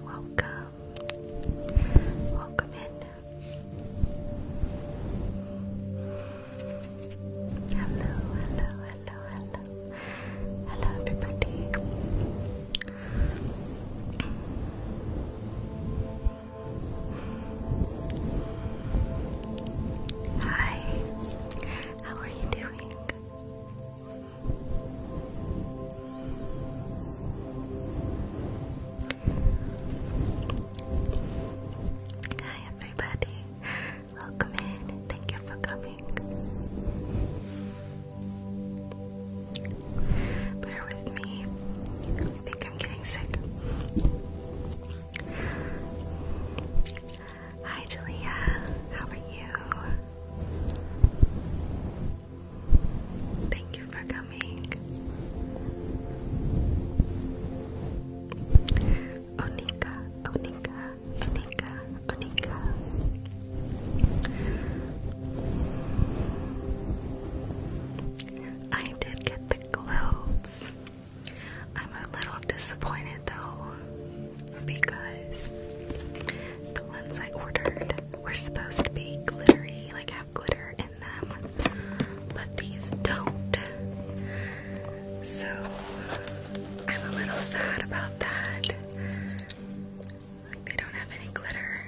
Welcome, welcome in, Hello, hello, hello, hello. Hello, everybody. Hi, how are you doing? everybody. Welcome in. Thank you for coming. Bear with me. I think I'm getting sick. Hi Julia. How are you? Thank you for coming. Onika, Onika, Onika, Onika. I did get the globes. I'm a little disappointed though, because the ones I ordered were supposed to be glittery, like have glitter in them, but these don't. So I'm a little sad about that. they don't have any glitter.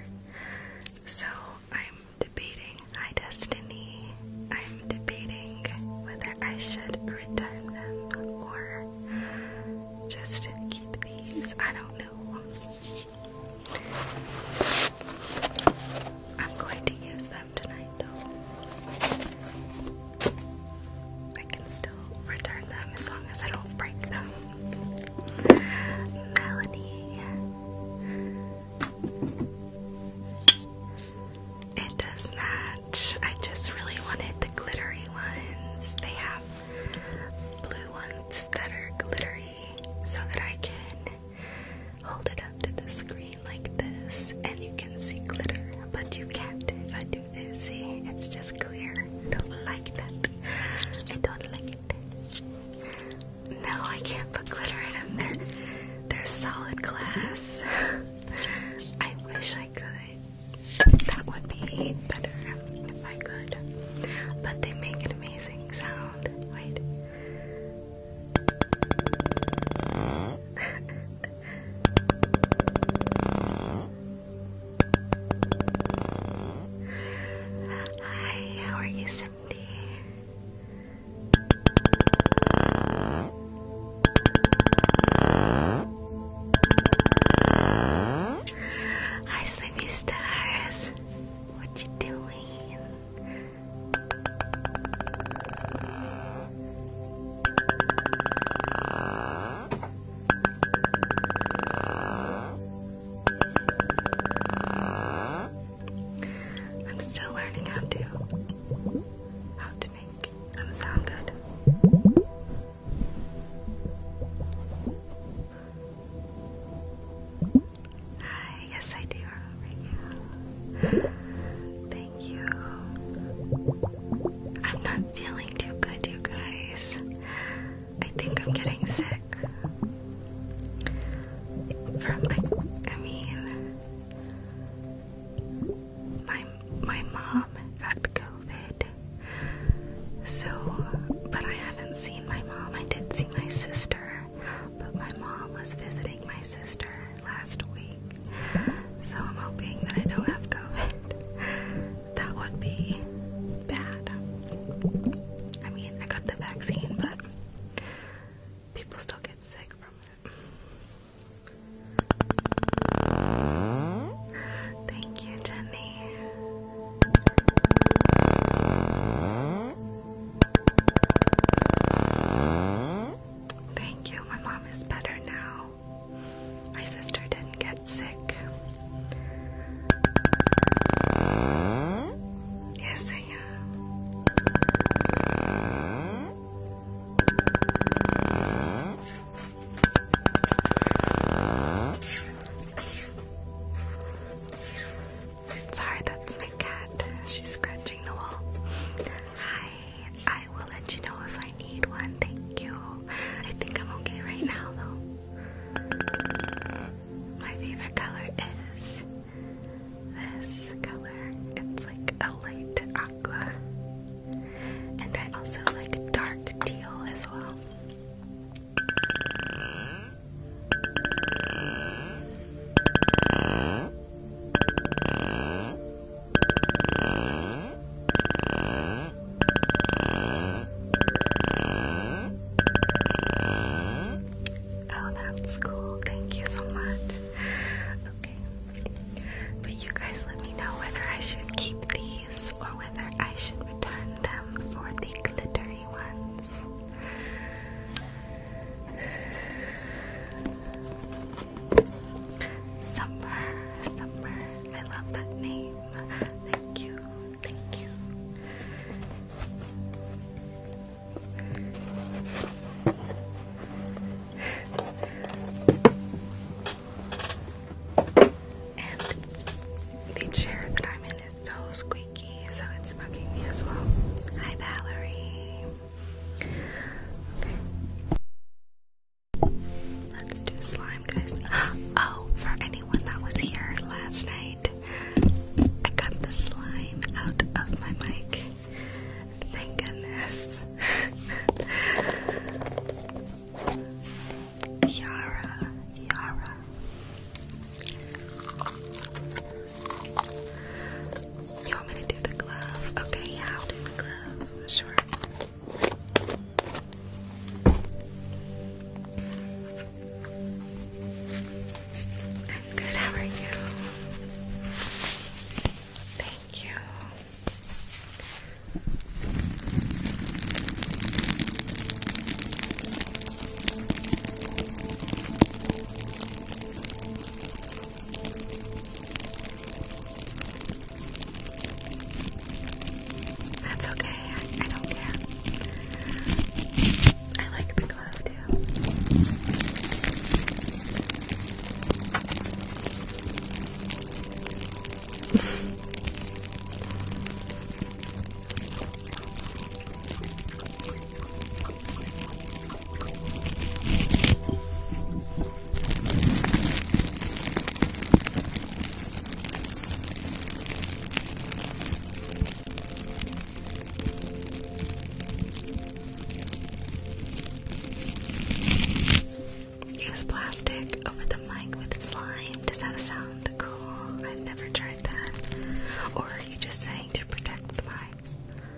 So I'm debating my destiny. I'm debating whether I should return them or just keep these. I don't know. I'm going to use them tonight, though. I can still return them as long as I don't break them. Melanie. It does match. I just really wanted the glittery ones. They have blue ones that are glittery so that I can hold it up to the screen like this, and you can see glitter, but you can't if I do this. See, it's just clear. I don't like that. I don't like it. No, I can't put glitter in them. They're, they're solid glass. I wish I could. That would be better if I could. But they make an amazing sound. Wait. Hi, how are you, Cindy? Hi, Sleepy Stars. What you doing? I'm still learning how to how to make them sound good. Hi. Yes, I do Thank you. I'm not feeling too good, you guys. I think I'm getting sick. From I, I mean, my my mom got COVID. So, but I haven't seen my mom. I did see my sister, but my mom was visiting my sister, last week, so I'm hoping that I don't have COVID. That would be bad. I mean, I got the vaccine, but people still get sick from it. Thank you, Jenny. Thank you. My mom is better now. My sister didn't get sick. Yes, I am. Sorry, that's my cat. She's scratching the wall. Hi, I will let you know if I need one. Thank you. I think I'm okay right now, though. My favorite color is this color. It's like a light aqua. And I also like dark teal as well. Oh, that's cool. Thank you so much. Okay. But you guys let me know whether I should keep these or whether I should return them for the glittery ones. Summer, Summer. I love that name. Thank you, thank you. And the chair that I'm in is so squeaky, so it's bugging me as well. Hi, Valerie. Let's do slime, guys. Oh, for anyone that was here last night, I got the slime out of my mic. Thank goodness. Yara, Yara. You want me to do the glove? Okay, yeah, I'll do the glove. Sure. I'm good, how are you? Thank you. That's okay, I, don't care. I like the glove too. Use plastic over the mic with slime. Does that sound cool? I've never tried that. Or are you just saying to protect the mic? Hi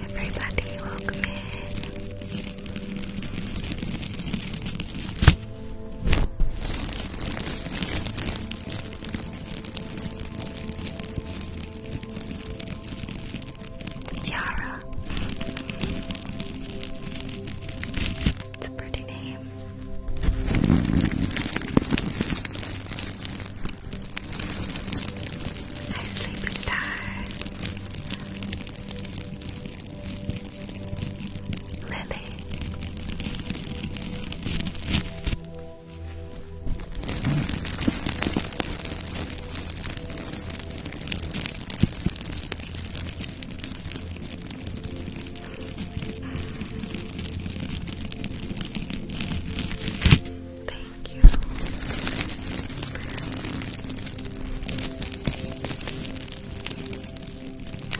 everybody, welcome in. Yara. It's a pretty name. Hi, star. Lily. Thank you.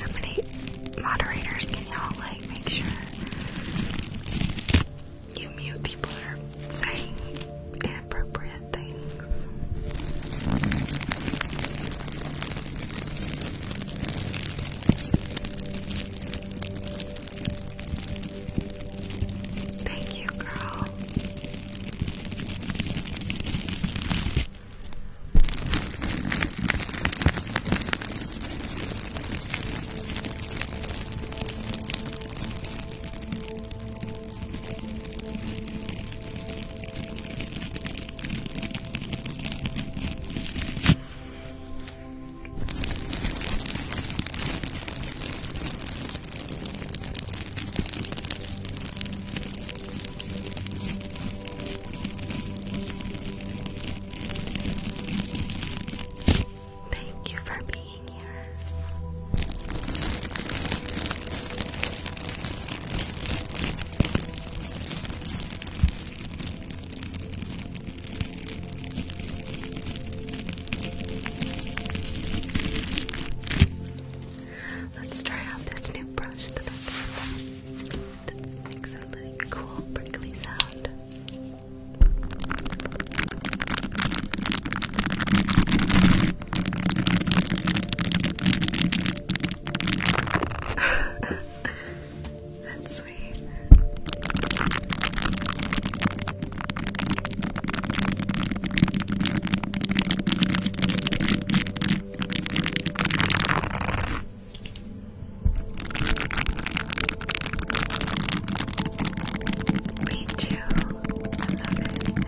How many moderators can y'all like make sure you mute people are saying inappropriate things. Thank you, girl. Thank you for being Let's try out this new brush that that makes a really cool prickly sound. That's sweet. Me too. I love it.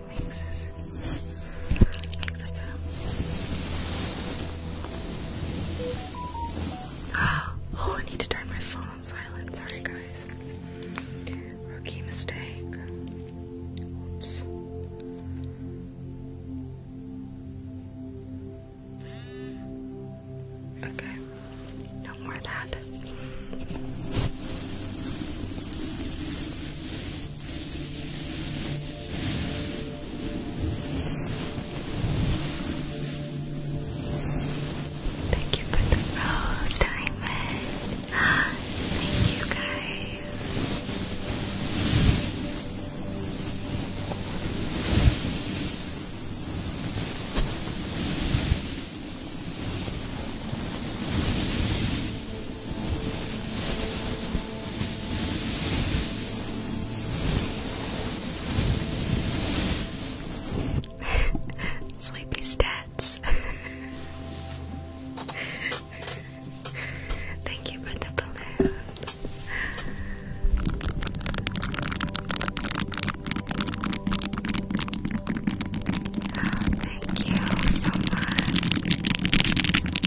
Oh, I need to turn my phone on silent. Sorry, guys. Rookie mistake. Oops. Okay, no more of that. Thank you for the rose, Diamond. Ah, thank you, guys. Sleepy stats. Thank you for the balloon. thank you so much. Thank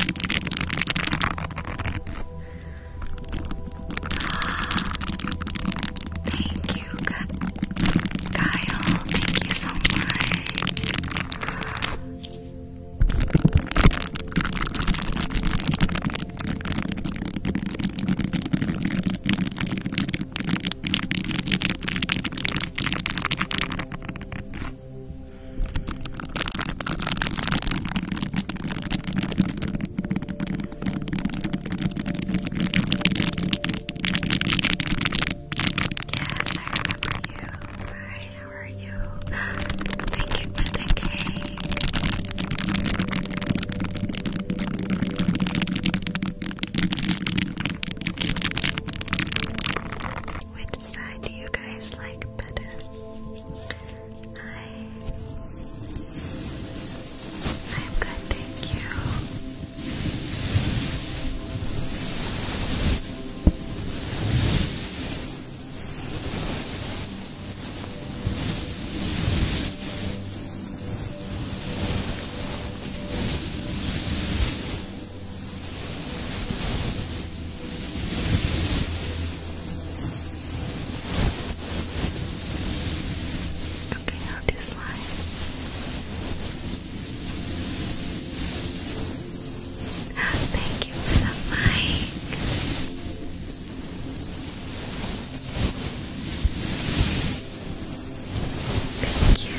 you, Kyle. Thank you so much. I remember you. Hi, how are you? Thank you for the cake. Which side do you guys like better? Hi. I'm good, thank you. Okay, now do slime. Thank you for the mic. Thank you.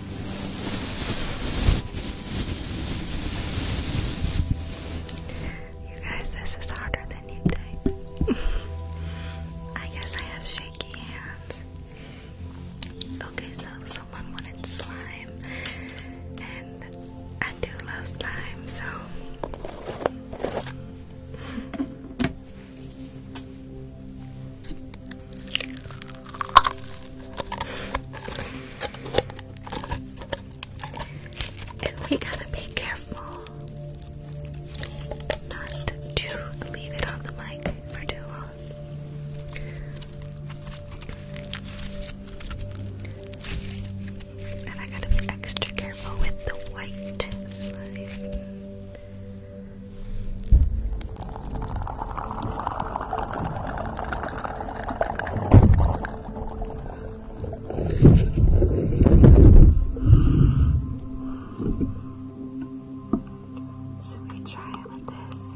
You guys, this is harder than you think. I guess I have shaky hands. Okay, so someone wanted slime, and I do love slime, so. And we gotta be careful not to leave it on the mic for too long. And I gotta be extra careful with the white should we try it with this?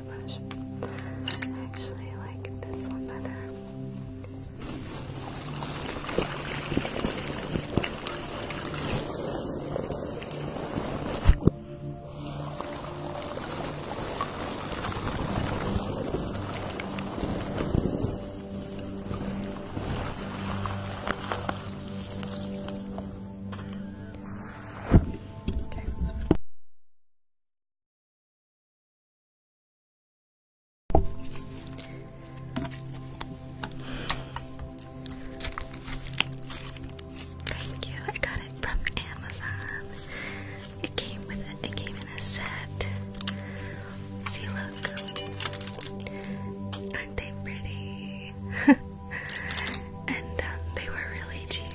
my brush. actually like this one better. Okay. Thank you. I got it from Amazon. It came with it. It came in a set. See, look. Aren't they pretty? and um, they were really cheap.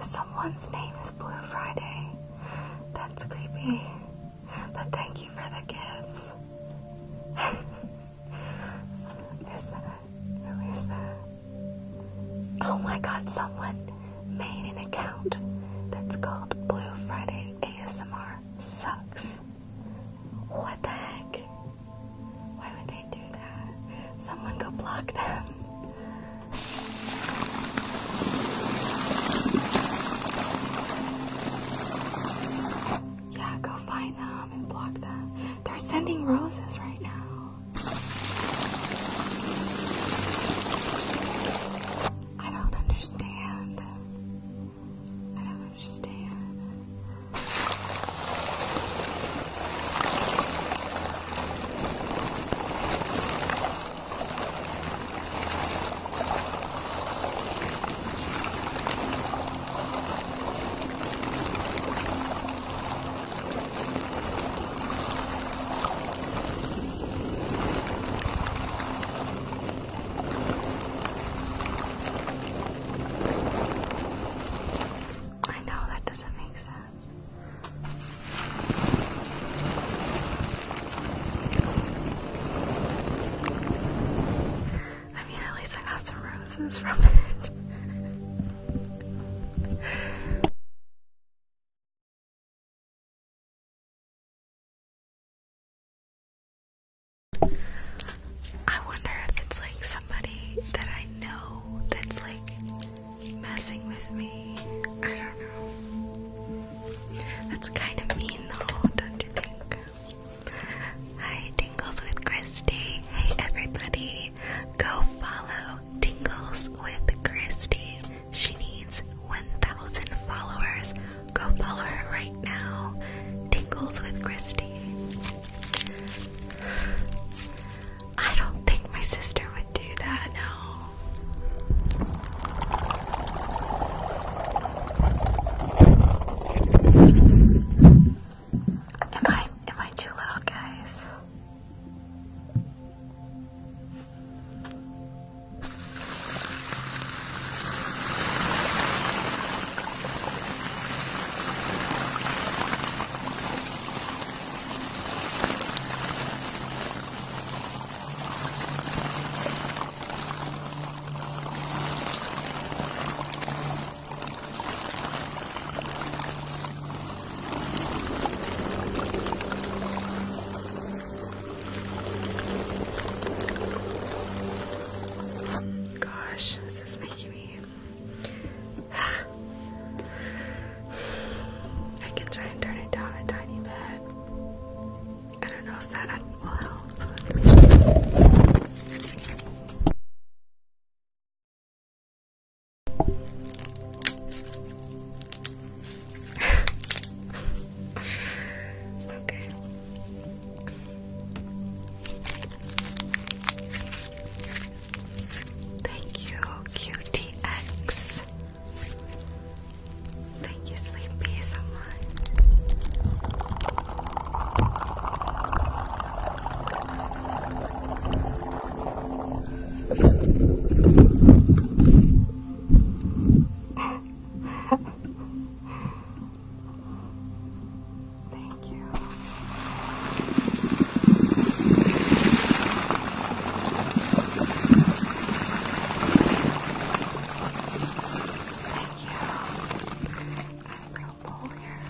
Someone's name is Blue Friday. That's creepy. But thank you for the gifts. Who is that? Oh my god, someone made an account that's called Blue Friday ASMR Sucks. What the heck? Why would they do that? Someone go block them. Yeah, go find them and block them. They're sending roses right now. I don't understand. I don't understand. I know that doesn't make sense. I mean, at least I got some roses from it. I wonder if it's like somebody that I know that's like messing with me. I don't know. That's kind of mean though, don't you think? Hi, Tingles with Christy. Hey, everybody. Go follow Tingles with Christy. She needs 1,000 followers. Go follow her right now. Tingles with Christy. I don't think my sister would do that, no. Am I am I too loud, guys? Gosh, this is making me I can try and turn it down a tiny bit. I don't know if that will help. okay. Thank you, QTX. Thank you, Sleepy, so much. Thank you. Thank you. I'm real bowl here.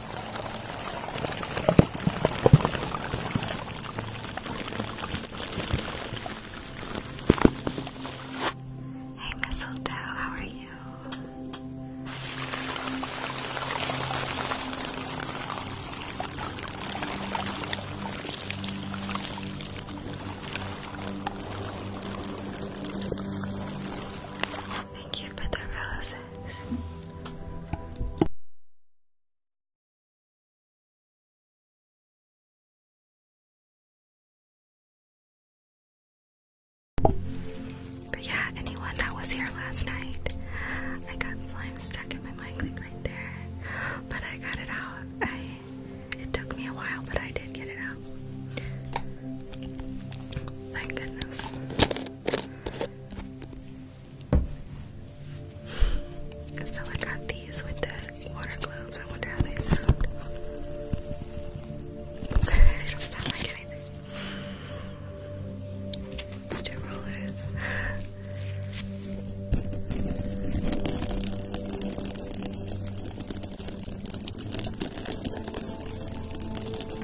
Hey Mistletoe, how are you? Thank you for the roses. But yeah, anyone that was here last night, I got slime stuck in my mic right there. But I got it out. I it took me a while, but I did get it out. Thank goodness. So I got these with the water globes. I wonder how they sound. they don't sound like anything. let rollers.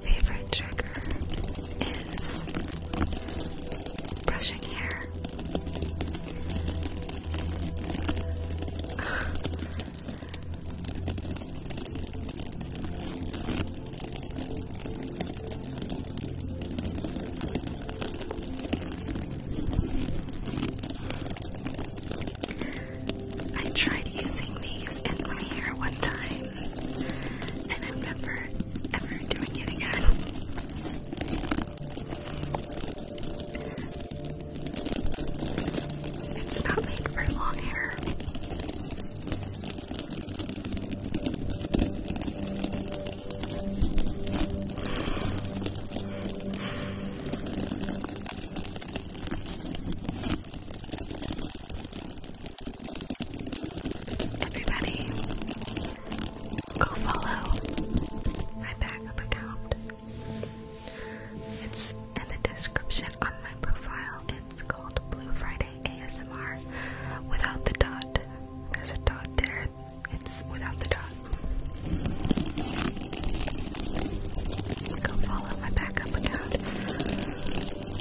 favorite trigger is brushing hair. I tried using these in my hair one time and I'm never ever doing it again. It's not made for long hair. Everybody, go follow my backup account. It's in the description on my profile. It's called Blue Friday ASMR without the dot. There's a dot there. It's without the dot. Go follow my backup account.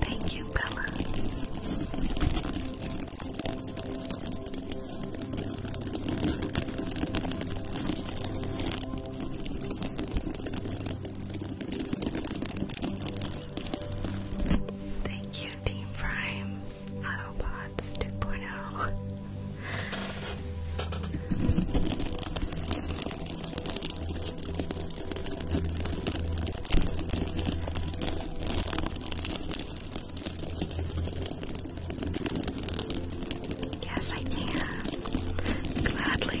Thank you, Bella. Thank you, Team Prime. Autobots 2.0. Yes, I can. Gladly.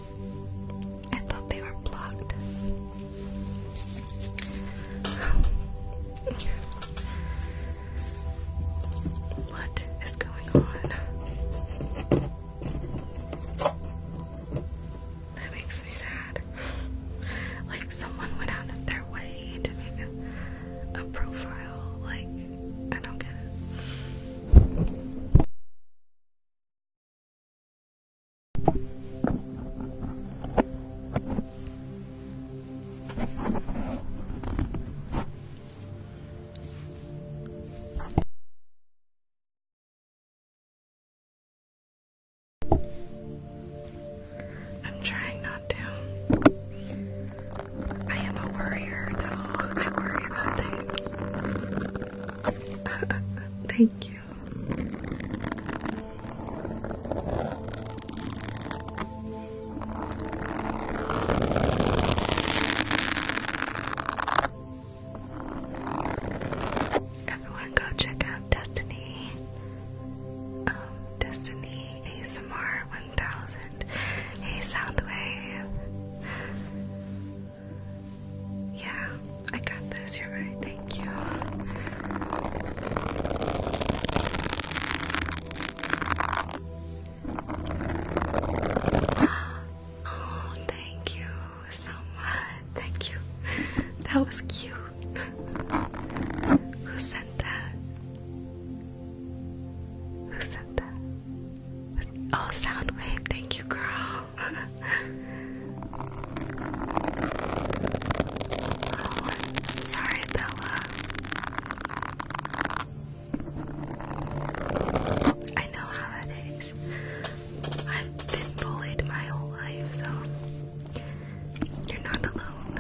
I thought they were blocked. what is going on? That makes me sad. like someone went out of their way to make a, profile. Like I don't get it. I'm trying not to. I am a worrier, though. I worry about things. Thank you. Everyone, go check out Destiny. Um, Destiny ASMR 1000. Hey, Soundwave. Yeah, I got this. You're right. Thank you. Oh, thank you so much. Thank you. That was cute. Who sent that? Who sent that? Oh, Soundwave. Thank you, girl sorry, Bella. I know how that is. I've been bullied my whole life, so you're not alone.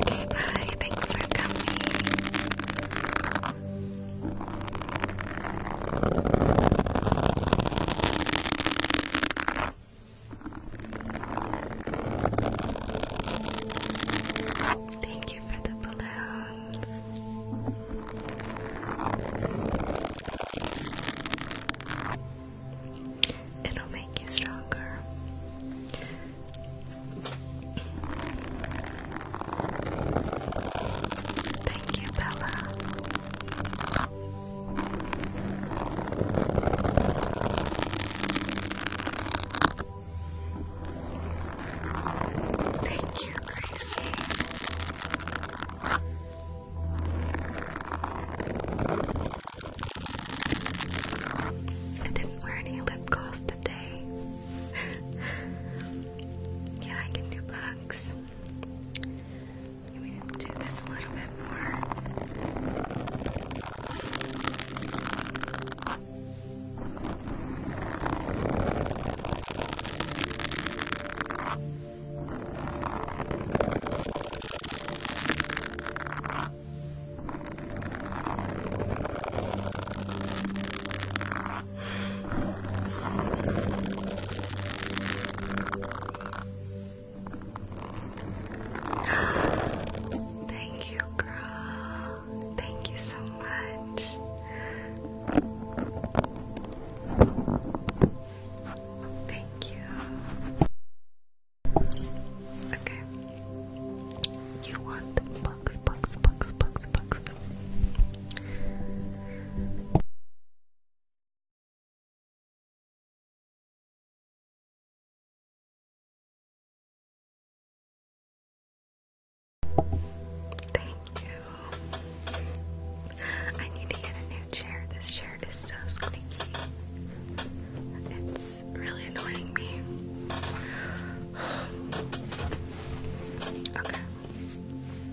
Okay, bye. Thanks for coming. Thank you for the balloons. It'll make you stronger. Thank you, Bella. Thank you, Gracie. I didn't wear any lip gloss today. yeah, I can do bugs. We can do this a little bit more. Thank you, girl. Thank you so much. Thank you. Okay. You want bugs, bugs, bugs, bugs, bugs. Thank you. I need to get a new chair. This chair is so squeaky. It's really annoying me. Okay.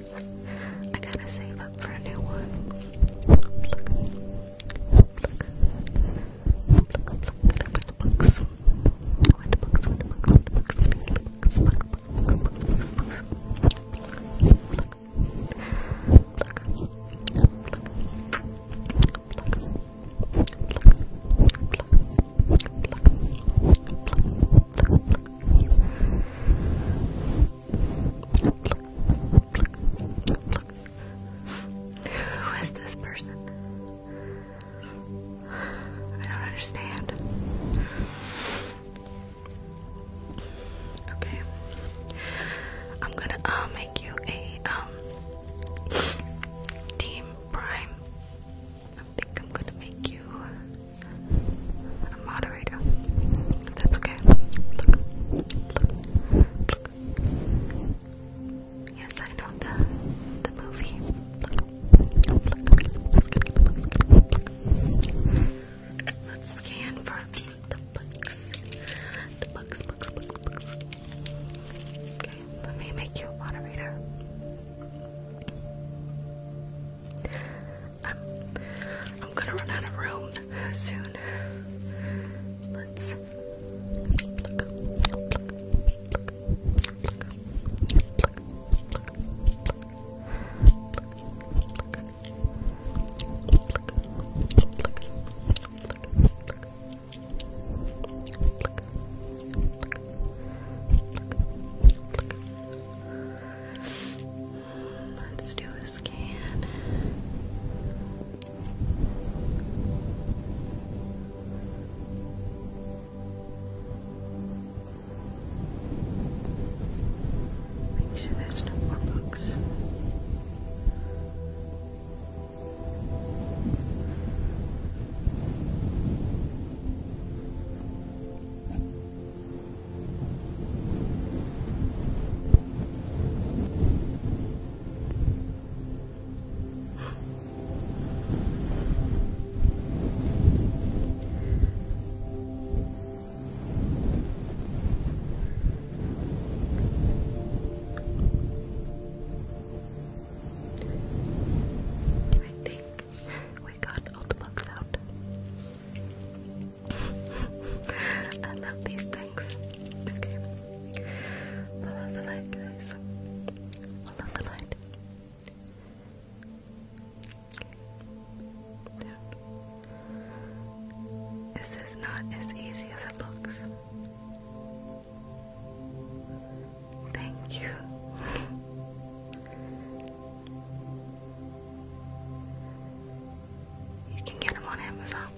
I gotta save up for a new one. Who is this person? I don't understand. Okay. I'm gonna uh, make you a um team prime. I think I'm gonna make you moderator. That's okay. Yes, I know the the movie. Let's scan for The books, books, books, books. Okay, let me make you a moderator. I'm I'm gonna run out of room soon. Let's Let's do a scan. Make sure there's no more books. I think we got all the bugs out. I love these things. Okay. Follow the light, guys. Follow the light. This is not as easy as it looks. Thank you. You can get them on Amazon.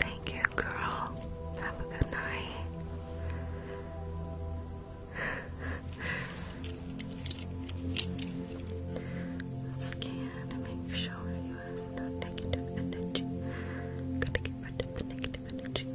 Thank you, girl. Have a good night. Scan to make sure you no negative energy. gonna get rid of the negative energy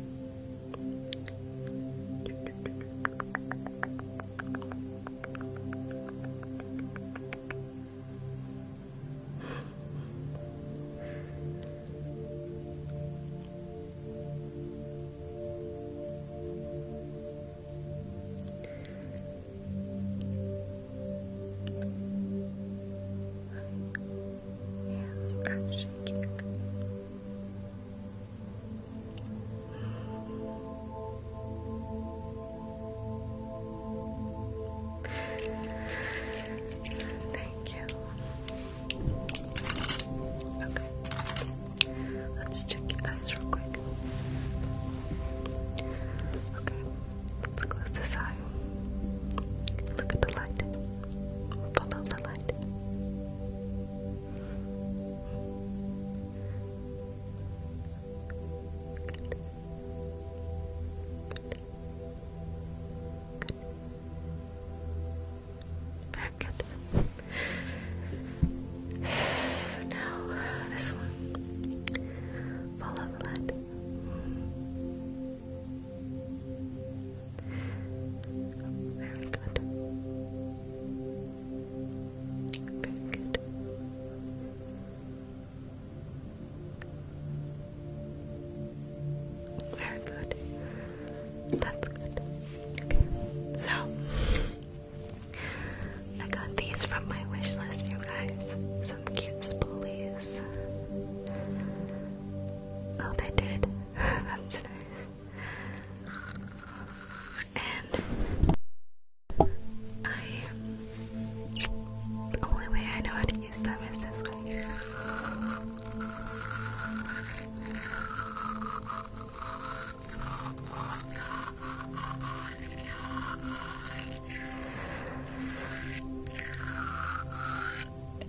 hands are shaking. Thank you. Okay. Let's check your eyes real quick. Okay. Let's close this eye. Look at the light. Follow the light. Very good. Now, this one. Follow the light. Very good. Very good. Very good. That's good. Okay. So I got these from my wish list, you guys some cute spoolies. Oh, they did. That's nice. And I the only way I know how to use them is this way.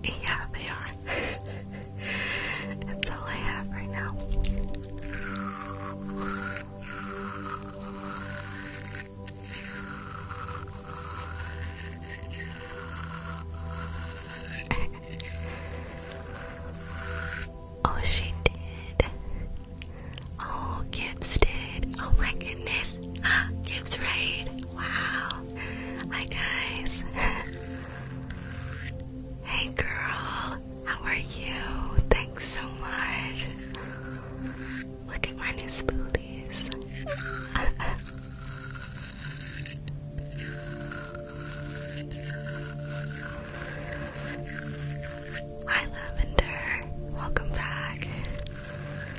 Yeah, they are. That's all I have right now. oh, she did. Oh, Gibbs did. Oh my goodness. Gibbs right. Wow. Hi, guys. hey, girl. How are you? Thanks so much. Look at my new spoolies. Hi, Lavender. Welcome back.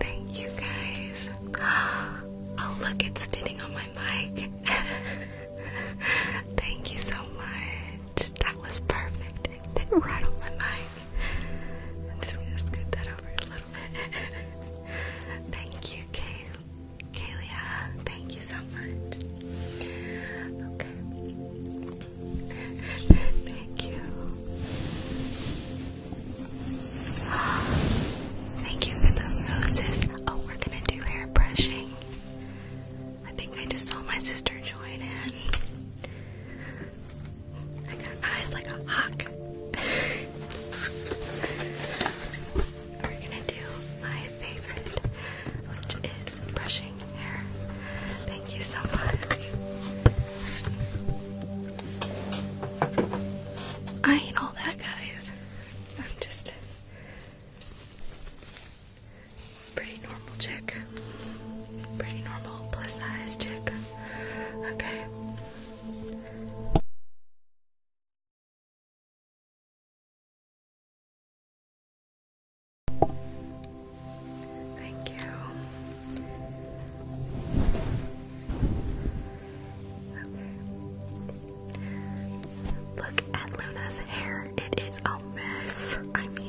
thank you guys. Oh, look, it's spinning on my mic. thank you so much. That was perfect. It fit right on my mic. I'm just gonna scoot that over a little bit. thank you, Kay Kalia. Thank you so much. Okay. Thank you. Thank you for the roses. Oh, we're gonna do hair brushing. I think I just saw my sister join in. I got eyes like a hawk. We're gonna do my favorite, which is brushing pink Thank you so much. I ain't all that, guys. I'm just pretty normal chick. Pretty normal, plus size chick. Okay. Thank you. Look at Luna's hair. It is a mess. I mean.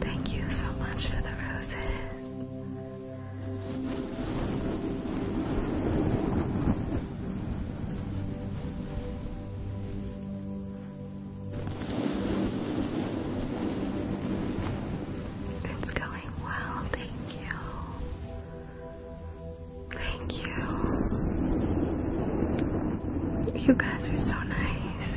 Thank you so much for the roses. It's going well, thank you. Thank you. You guys are so nice.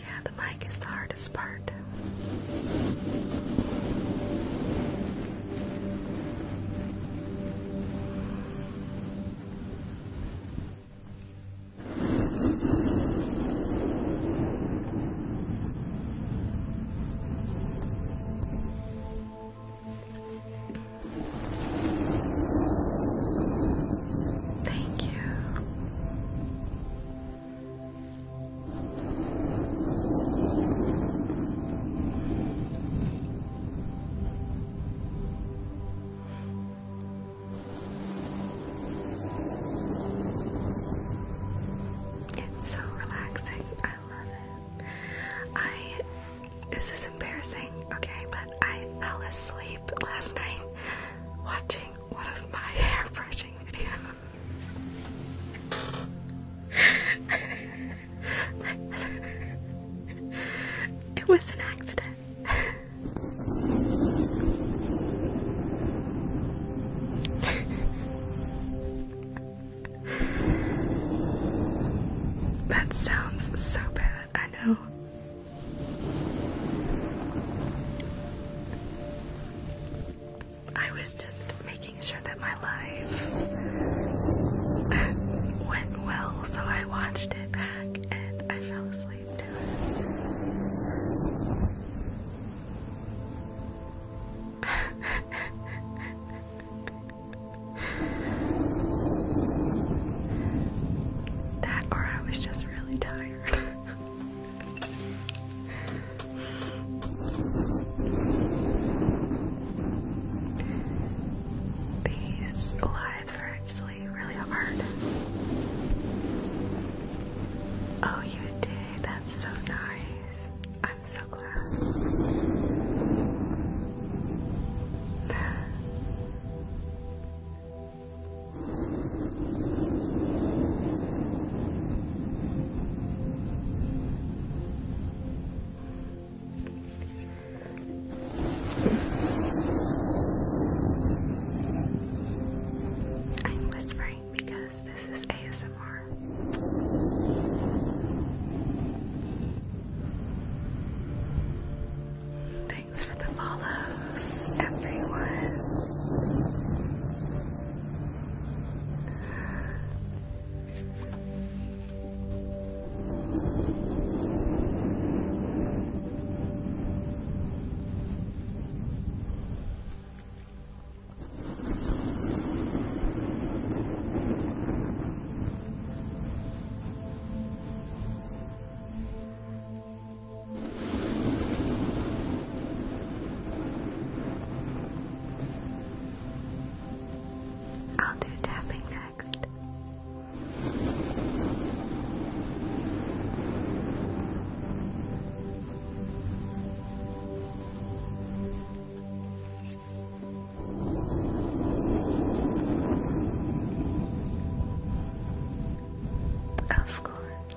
Yeah, the mic is the hardest part. Thank you. It's so relaxing. I love it. I this is embarrassing, okay, but I fell asleep last night watching one of my hairbrush it was an accident. that sounds so bad, I know. I was just making sure that my life went well, so I watched it back and I fell asleep to that or I was just really tired. These lives are actually really hard. Oh, you did. That's so nice. I'm so glad. I'm whispering because this is ASMR. Thanks for the follow loves everyone. I'll do tapping next. Of course.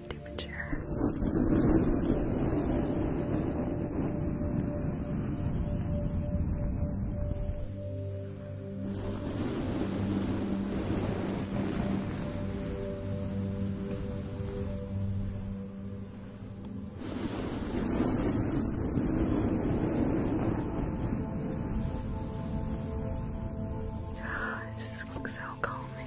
stupid chair. Ah, this is so calming.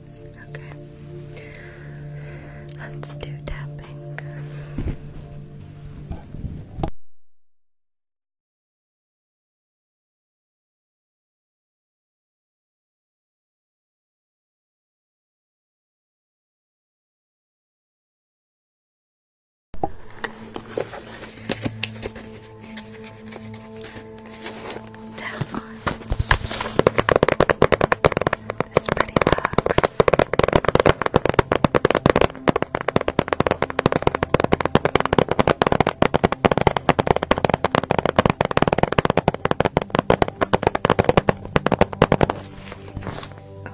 Okay. Let's do tapping down on this pretty box. Okay. And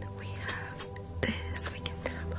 then we have this we can tap on.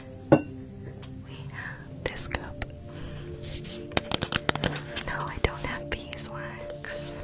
we have this cup. No, I don't have beeswax.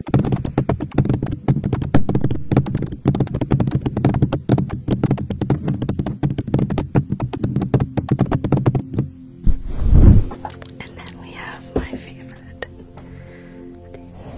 And then we have my favorite. These.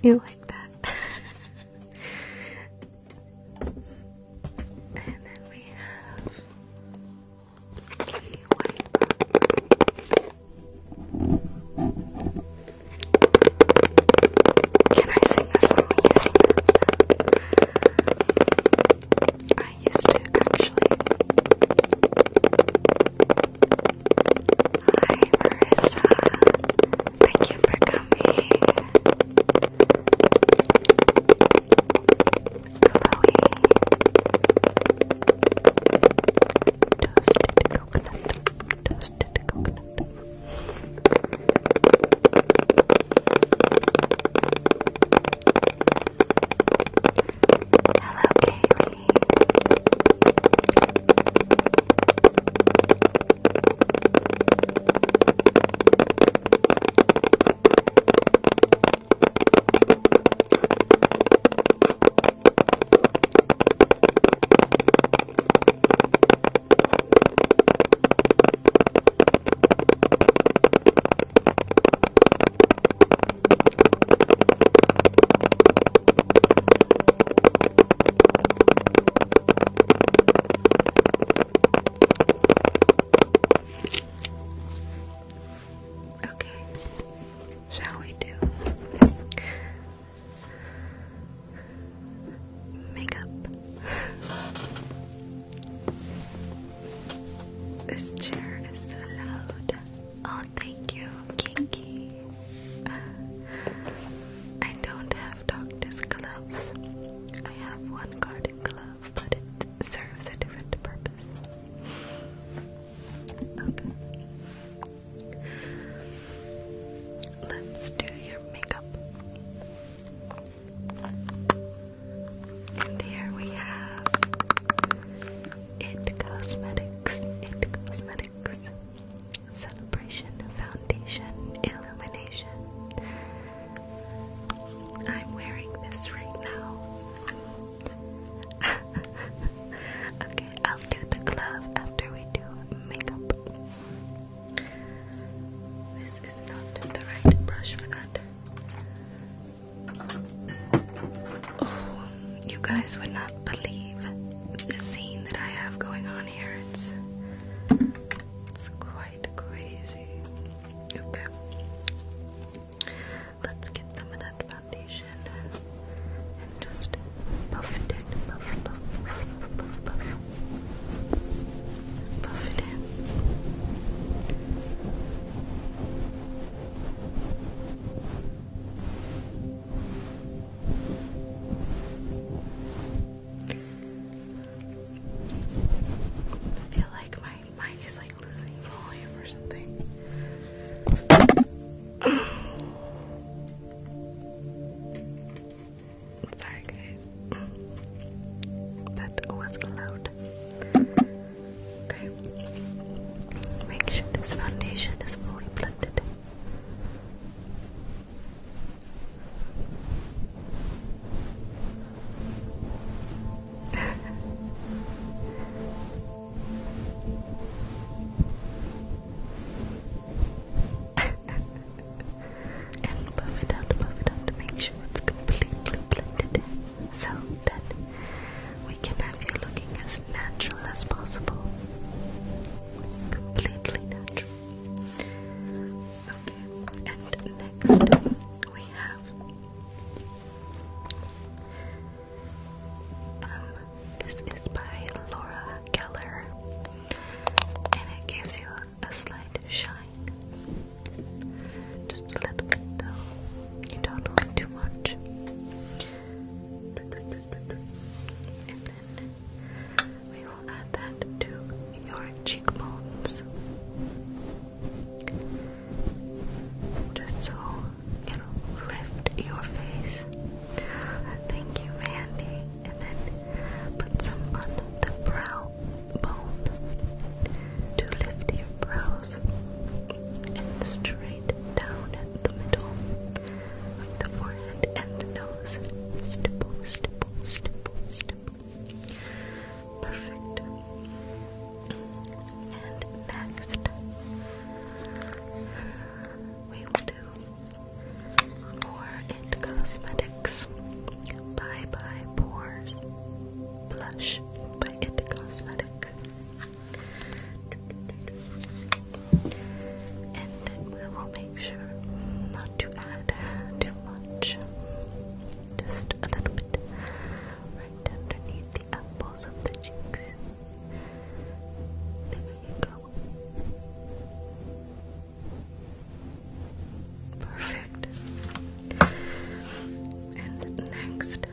you like that. and then we have the white box. Can I sing a song I used to actually. Hi Marissa. Thank you for coming. Chloe toasted coconut, toasted coconut. Hello, Kaylee. Okay, shall we do makeup. this chair is so loud. Oh, thank you, Kinky. I don't have doctor's gloves. I have one garden glove, but it serves a different purpose. Okay. Let's do your makeup. And we have It Cosmetics. It Cosmetics. Celebration, foundation, illumination. I'm wearing this right now. okay, I'll do the glove after we do makeup. This is not the right brush for that. Oh, you guys would not believe the scene that I have going on here. It's it's quite crazy. Okay. Let's get some of that back foundation and just buffed it, buff, buff, buff, buff, buff, buff it in. I feel like my mic is like losing volume or something. Sorry, guys. That was loud. Okay. Make sure this foundation is fully blended. and buff it out, buff it out make sure it's completely blended in so that we can have you looking as natural as possible. Completely natural. Okay, and next we have um, this is by Laura Keller, and it gives you a slight shine. Just a little bit, though. You don't want too much. And then we will add that to your cheekbones. Just so it'll your face. Thank you, Mandy. And then put some on the brow bone to lift your brows and straight down at the middle of the forehead and the nose. Stipple, stipple, stipple, stipple. Perfect. And next, we will do Pore and Cosmetics Bye Bye Pores Blush by It Cosmetic. And we will make sure not to add too much. Just a little bit right underneath the apples of the cheeks. There you go. Perfect. And next, of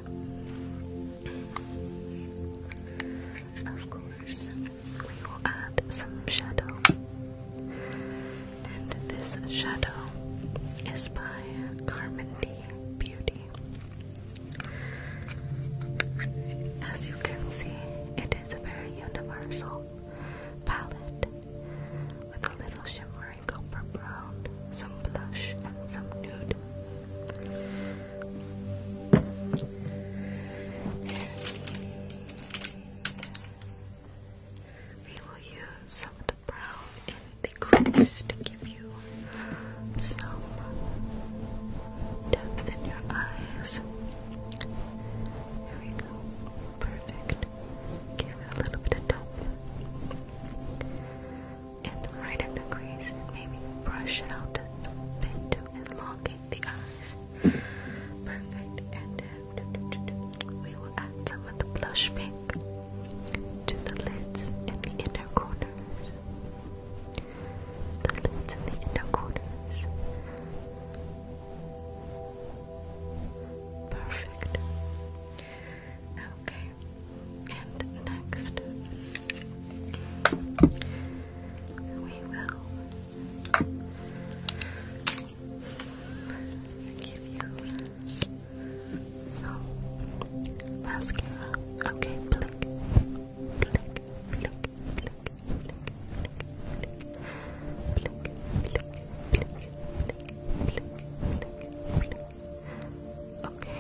course, we will add some shadow. And this shadow is by Carmen Beauty. As you can see, it it is a very universal palette with a little shimmering copper brown, some blush, and some nude. We will use some of the brown in the crease to give you some depth in your eyes. Here we go. Perfect. Give it a little bit of depth. And right at the crease, maybe brush it out a to elongate the eyes. Perfect. And uh, we will add some of the blush pink to the lids and the inner corners the lids and the corners. Perfect. Okay, and next we will give you some mascara. Okay, blink, blink, blink, blink. Okay.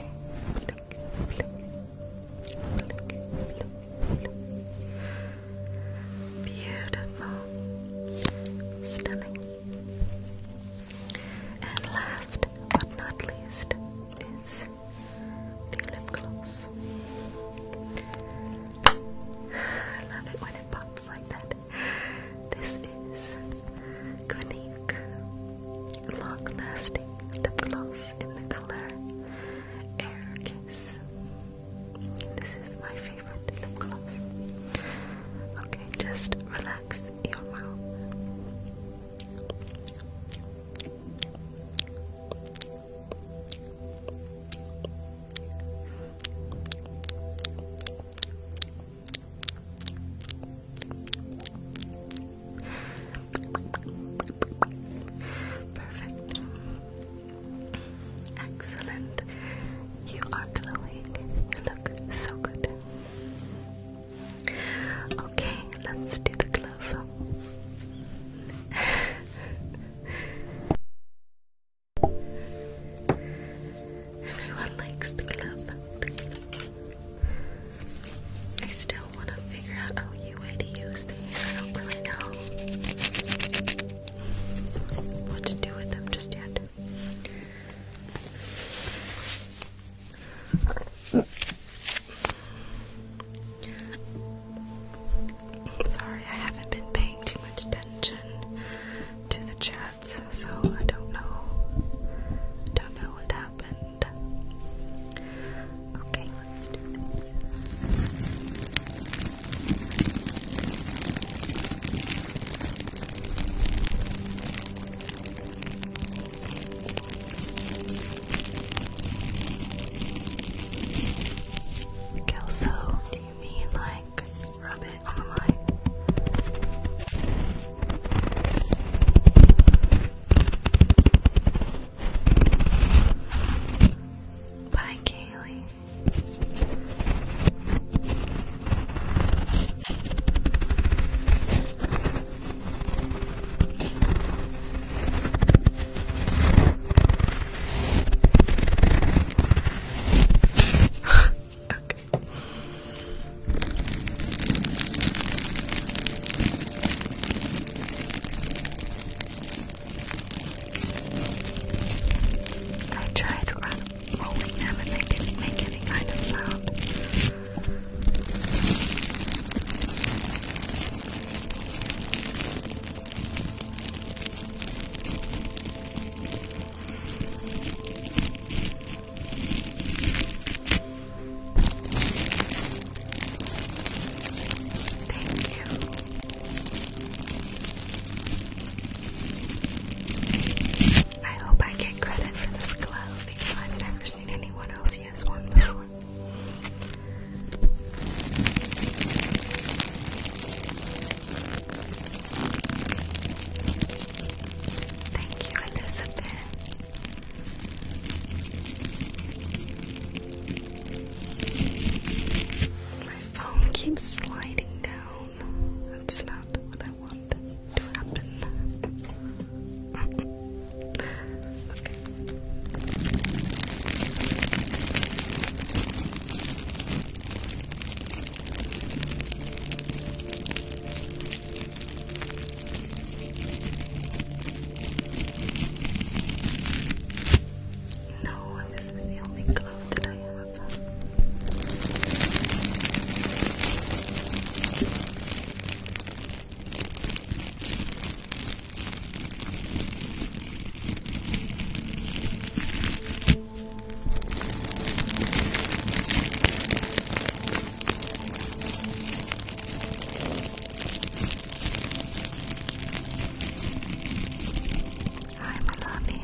Beautiful. Stunning. And last but not least is the lip gloss. I love it when it pops like that. This is Clinique Long Lasting Lip Gloss in the color Air Kiss. This is my favorite lip gloss. Okay, just relax your mouth. Perfect. Excellent. You are glowing. You look so good. Okay, let's do the glove. Everyone likes the club. I still want to figure out a new way to use these. I don't really know what to do with them just yet. Sorry, I haven't been paying too much attention to the chats, so I don't know. Don't know what happened. Okay, Kelso, do you mean like rub it on my? Bye, Kaylee. I tried run rolling them and they didn't make any kind of sound. Thank you. I hope I get credit for this glove I've never seen anyone else use one before. Thank you, Elizabeth. My phone keeps sliding down. That's not what I want to happen. okay. No, this is the only glove that I have. Hi, Melania.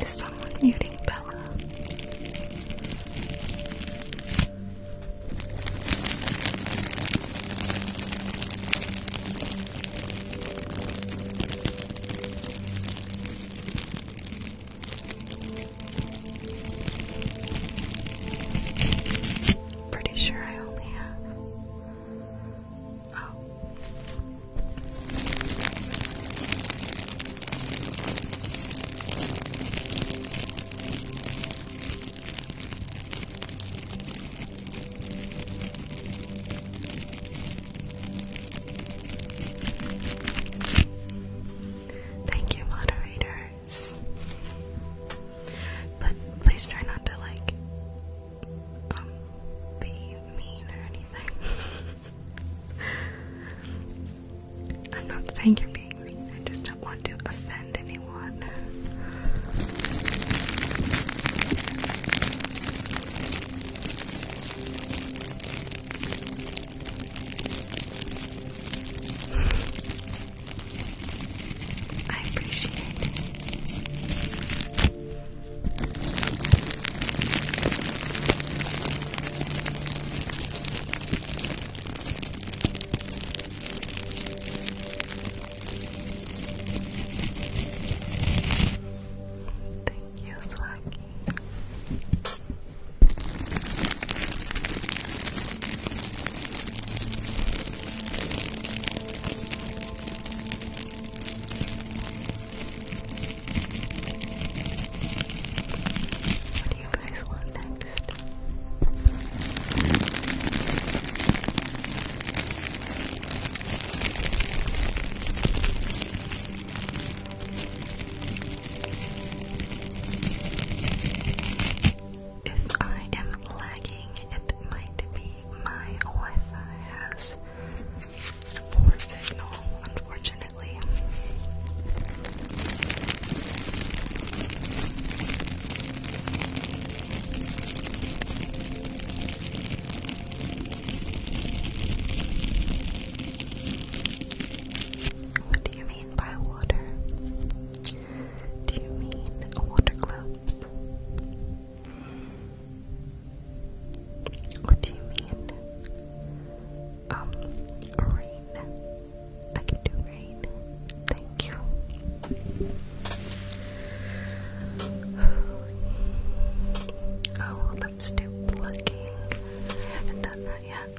Is someone muting Bella? Pretty sure I only have. Oh. Thank you, moderators. But please try not to like um, be mean or anything. I'm not saying you're being mean, I just don't want to offend anyone. I appreciate it. Thank you, Swaggy. What do you guys want next? If I am lagging, it might be my Wi-Fi has poor signal, unfortunately. What do you mean? by water? Do you mean water globes? Or do you mean um rain? I can do rain. Thank you. Oh, let's do plucking. I haven't done that yet.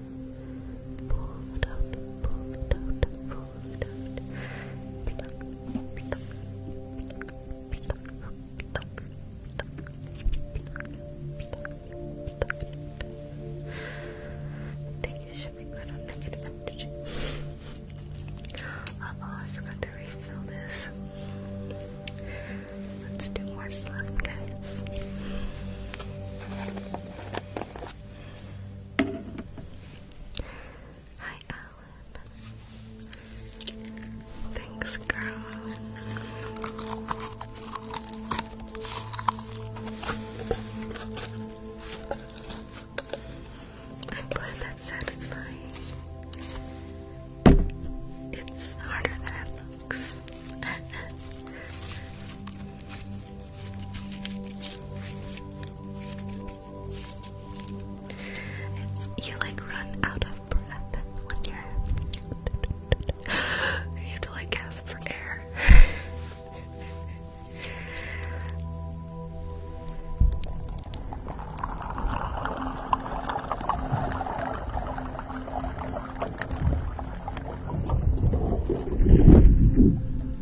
pull it out, pull it out, pull it out. Pluck, pluck, pluck, pluck, pluck, pluck, pluck, pluck. I think it should be good on negative energy. Uh oh, I forgot to refill this. Let's do more slime, guys. Hi, Alan. Thanks, girl. I'm glad that's It's harder than it looks. you like run out of breath when you're. you have to like gasp for air.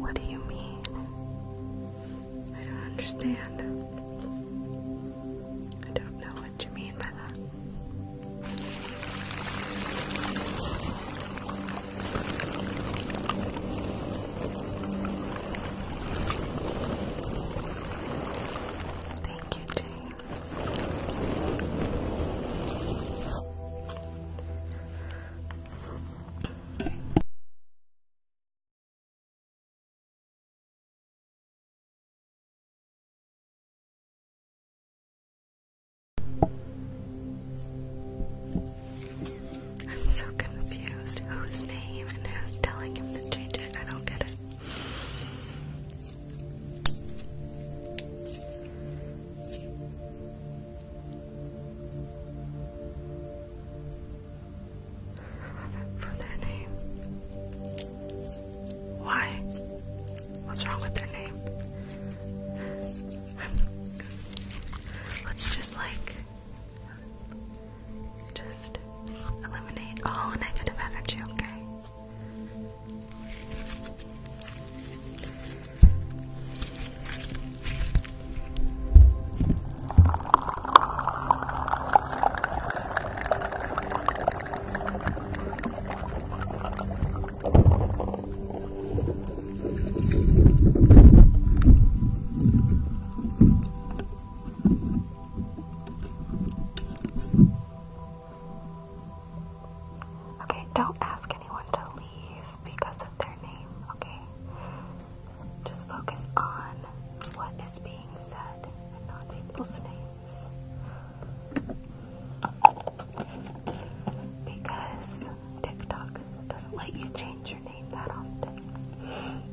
What do you mean? I don't understand. I don't know what you mean by that. Thank you, James. I'm so confused. Whose name and who's telling him to change it? I don't get it. For their name. Why? What's wrong with their name? Let's just like just eliminate all negative energy, okay? Okay, don't ask anyone to leave because of their name, okay? Just focus on what is being said and not people's names. Because TikTok doesn't let you change your name that often.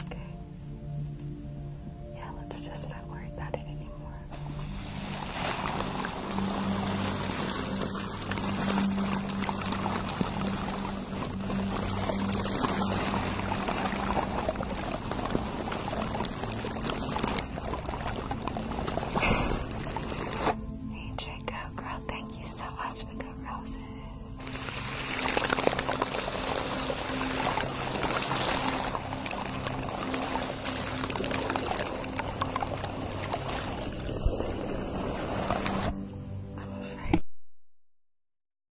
Okay. Yeah, let's just not worry about it anymore. Hey Draco girl, thank you so much for coming. I'm afraid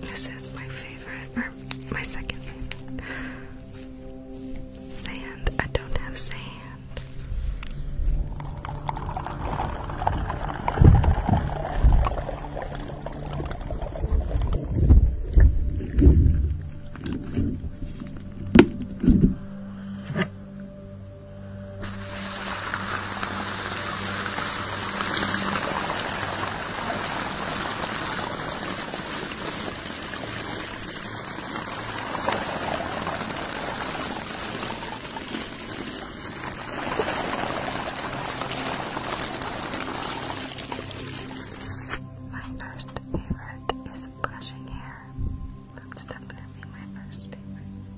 This is my favorite, or my second favorite. Sand. I don't have sand. My first favorite is brushing hair. That's definitely my first favorite.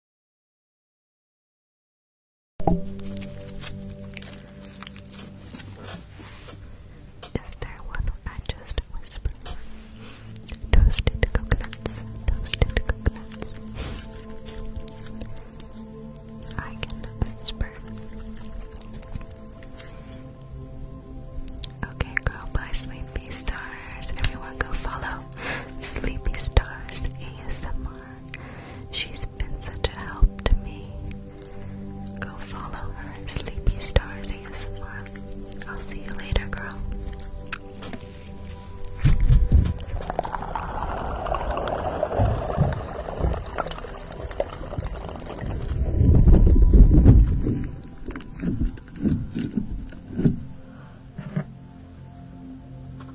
Is there one I just whispered? Toasted coconuts, toasted coconuts. I can whisper. Okay, girl, bye, Sleepy Stars. Everyone go follow Sleepy Stars ASMR. She's has been such a help to me. Go follow her Sleepy Stars ASMR. I'll see you later, girl.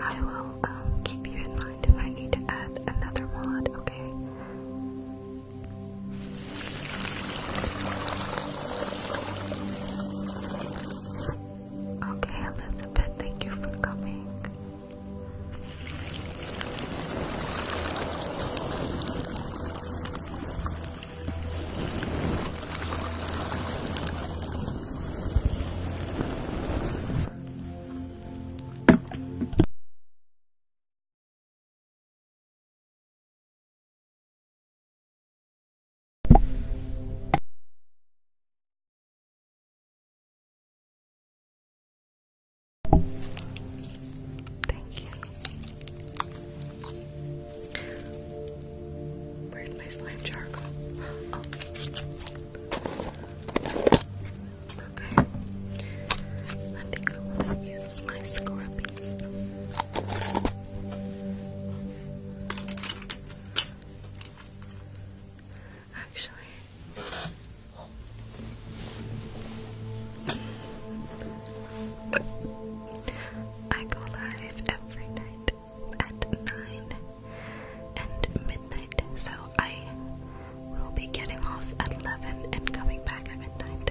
I will um, keep you in mind if I need to add another mod, okay? Okay, Elizabeth, thank you for coming. Thank you. Where did my slime jar oh. Okay. I think I want to use my scrubbing Actually, I go live every night at 9 and midnight, so I will be getting off at 11 and coming back at midnight.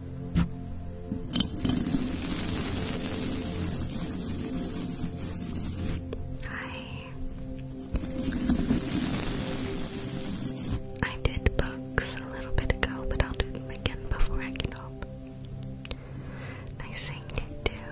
I I did books a little bit ago, but I'll do them again before I get home. Nice thing to do.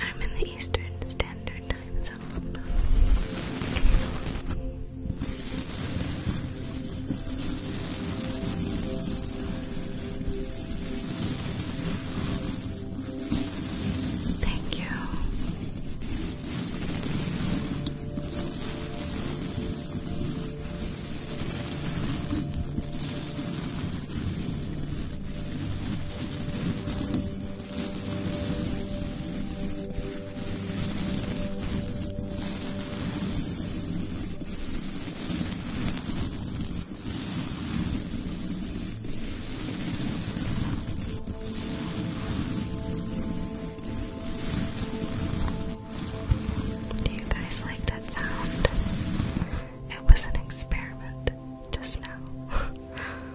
I'm in the Eastern Standard Time Zone. Thank you. Do you guys like that sound? It was an experiment just now.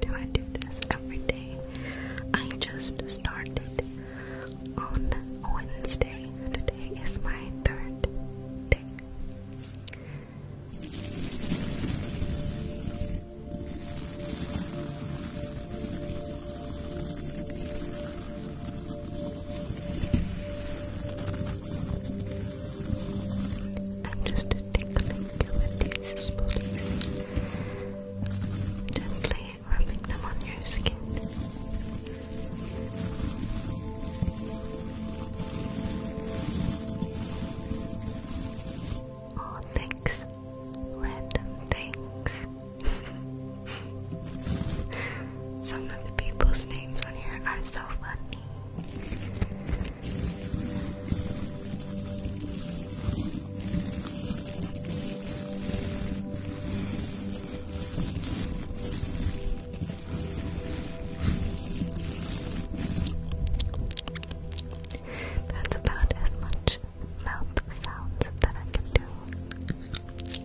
Do I do this every day? I just started on Wednesday. Today is my third day. I'm just tickling you with these spoolies, gently rubbing them on your skin. Oh, thanks, random things. Some of the people's names on here are so funny. That's about as much mouth sounds that I can do.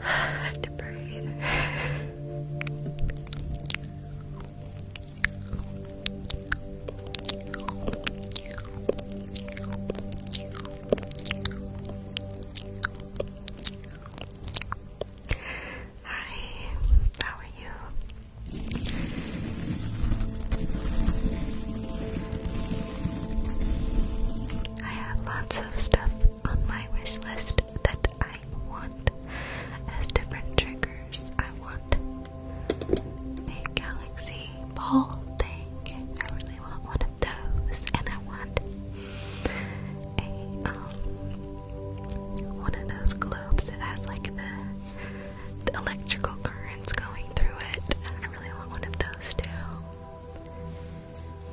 I have to breathe. Hi, how are you? I have lots of stuff on my wish list that I want as different triggers. I want a galaxy ball thing. I really want one of those, and I want a um one of those globes that has like the the electrical currents going through it. I really want one of those too.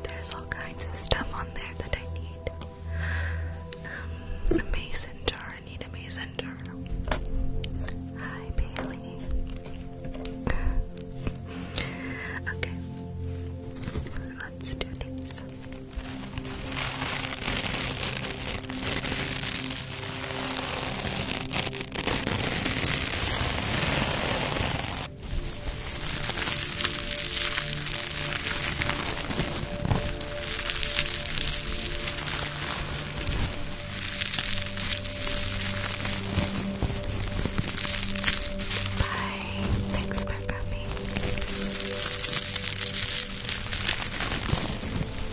There's all kinds of stuff on there that I need. a um, mason jar. I need a mason jar. Hi, Bailey. Okay. Let's do this. Thanks for coming.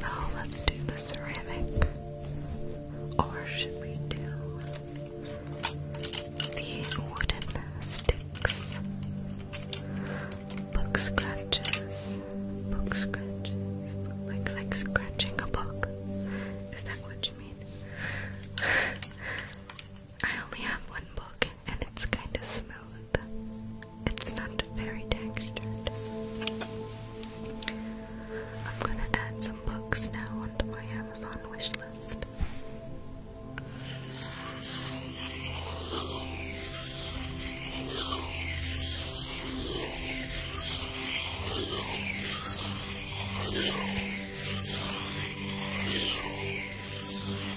Now oh, let's do the ceramic. Or should we do the wooden sticks? Book scratches. Book scratches. Like like scratching a book. Is that what you mean? I only have one book and it's kind of smooth. It's not very textured. I'm gonna add some books now onto my Amazon wish list.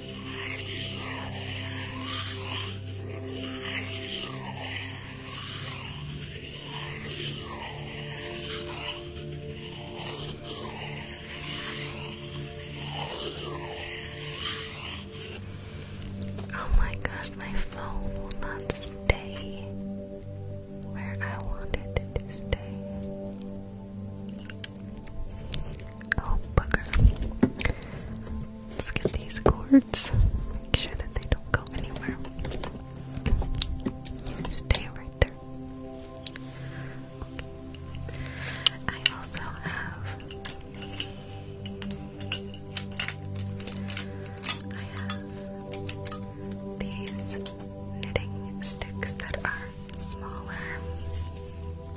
Oh my gosh, my phone will not stay where I wanted it to stay. Oh bugger. Let's get these cords. Make sure that they don't go anywhere. stay right there. I also have. I have these knitting sticks that are smaller.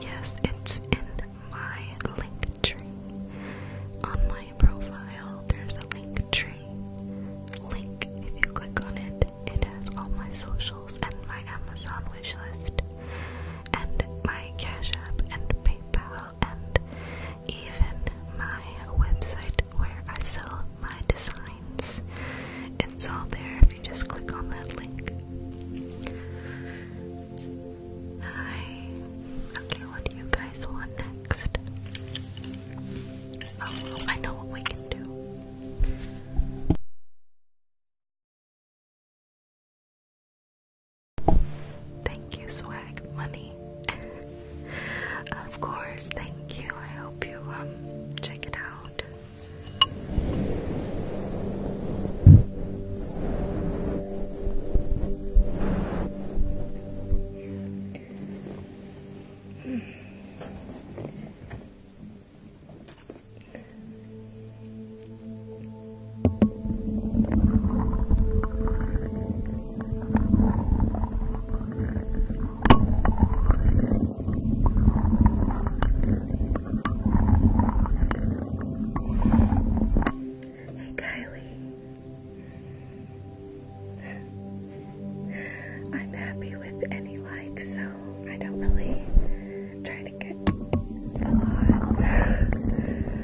Yes, it's in my link tree. On my profile, there's a link tree. Link, if you click on it, it has all my socials and my Amazon wish list and my Cash App and PayPal and even my website where I sell my designs. It's all there if you just click on that link. Hi. Okay, what do you guys want next? Oh, I know what we can do. Thank you, swag money. of course, thank you. I hope you um check it out. Hey Kylie. I'm happy with any likes, so I don't really try to get a lot.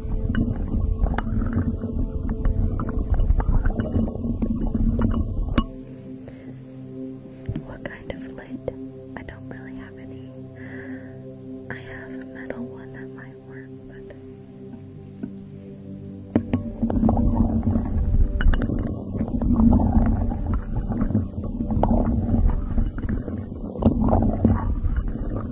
What kind of lid? I don't really have any. I have a metal one that might work, but.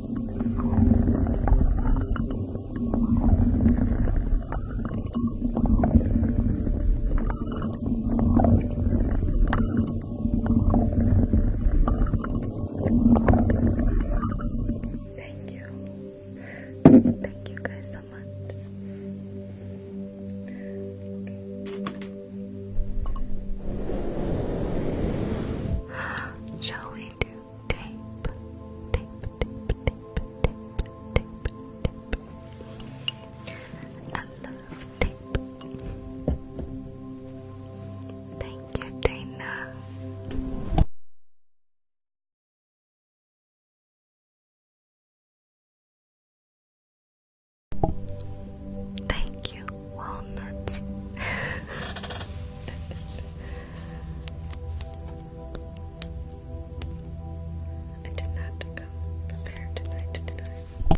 Thank you. Thank you guys so much. Okay. Shall we do tape, tape, tape, tape, tape, tape, tape. I love tape. Thank you, Dana. Thank you, walnuts. I did not come prepared tonight,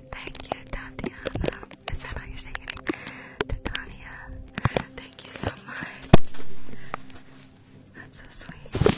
thank you, Tatiana. Is that how you're saying it? Tatiana, thank you so much. That's so sweet.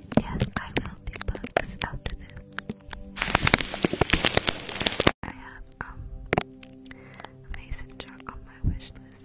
Yes, I will do books after this. I have um mason jar on my wish list.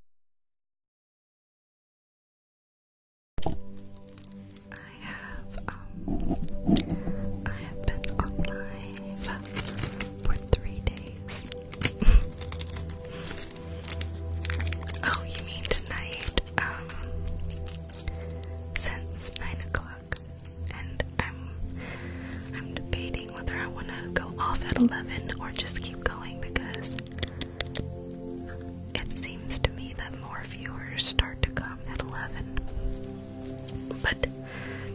I have um I have been on for three days. oh, you mean tonight? Um since nine o'clock and I'm I'm debating whether I want to go off at 11 or just keep going because it seems to me that more viewers start to come at 11. But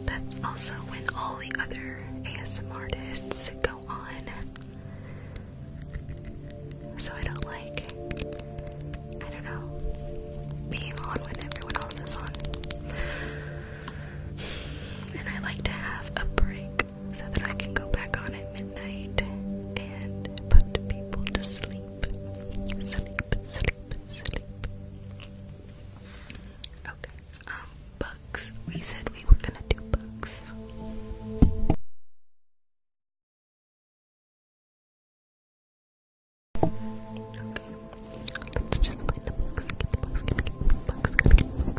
that's also when all the other ASM artists go on. So I don't like, I don't know, being on when everyone else is on. And I like to have a break so that I can go back on at midnight and put people to sleep. Sleep, sleep, sleep. Okay, um, books. We said we were gonna do books. Okay, let's just play the books, get the books, get the books.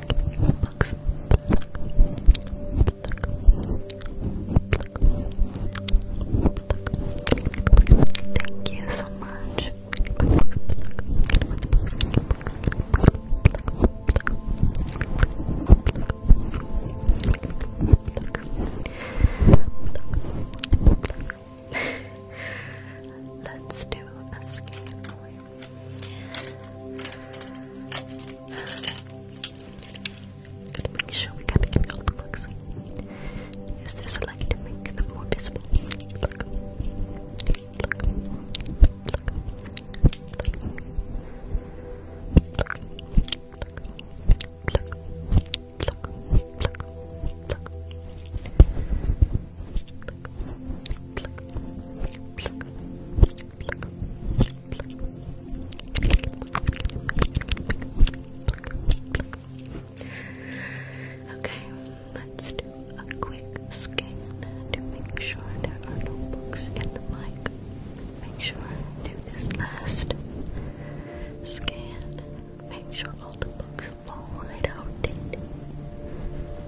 Thank you so much. Let's do a make sure we get the looks. Use this light to make them more visible. Look. Look. Look. Look. Look. Look. Look. Look. Look. Look. Okay, let's do a quick scan to make sure there are no books in the mic. Make sure do this last scan. Make sure all the books fall right out.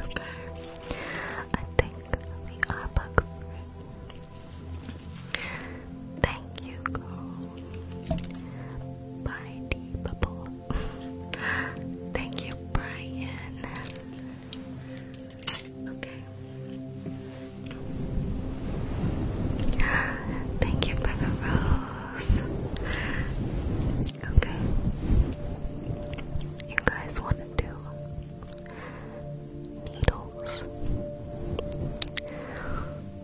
Okay, I think we are back for Thank you, girl. Bye, D Thank you, Brian. Okay. Thank you for rose. Okay. You guys want to needles?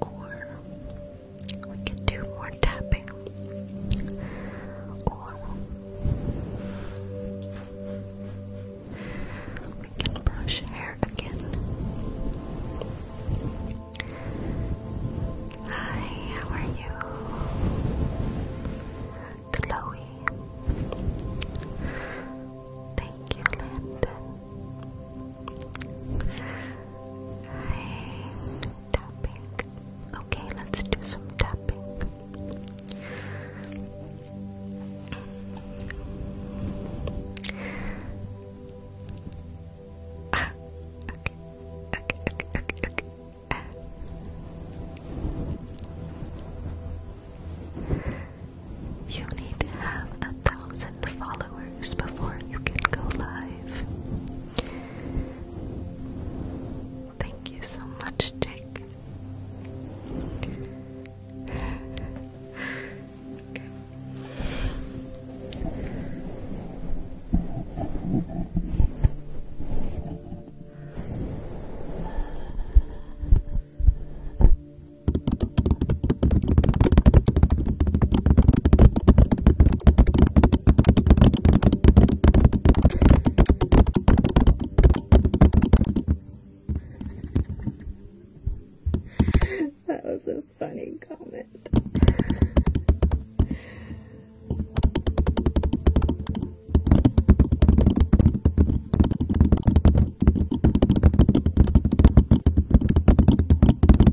or we can do more tapping, or we can brush hair again. Hi, how are you? Chloe. Thank you, Landon i tapping. Okay, let's do some tapping. okay, okay, okay, okay, okay. You need to have a thousand followers before you can go live. Thank you so much, Jake that was a funny comment.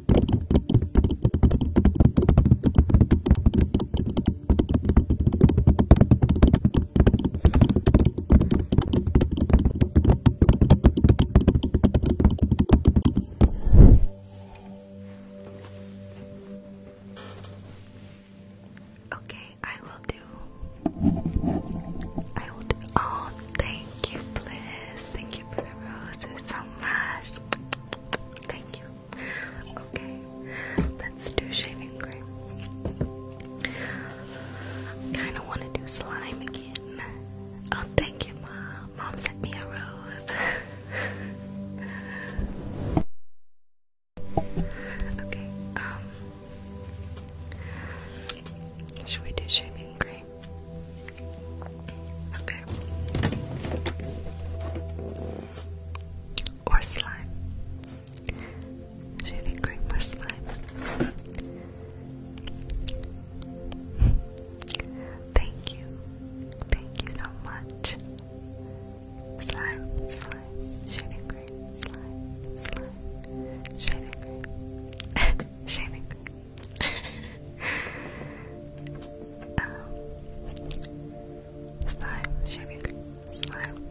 Okay, I will do. I will do. Oh, thank you, Bliss. Thank you for the roses so much. Thank you okay, let's do shaving cream. Kinda wanna do slime again. Oh, thank you, Mom. Mom sent me a rose. okay, um, Should we do shaving cream? Okay or slime. Shaving cream or slime. Thank you. Thank you so much. Slime, slime, shaving cream, slime, slime, shaving cream, shaving cream. Slime, shaving slime.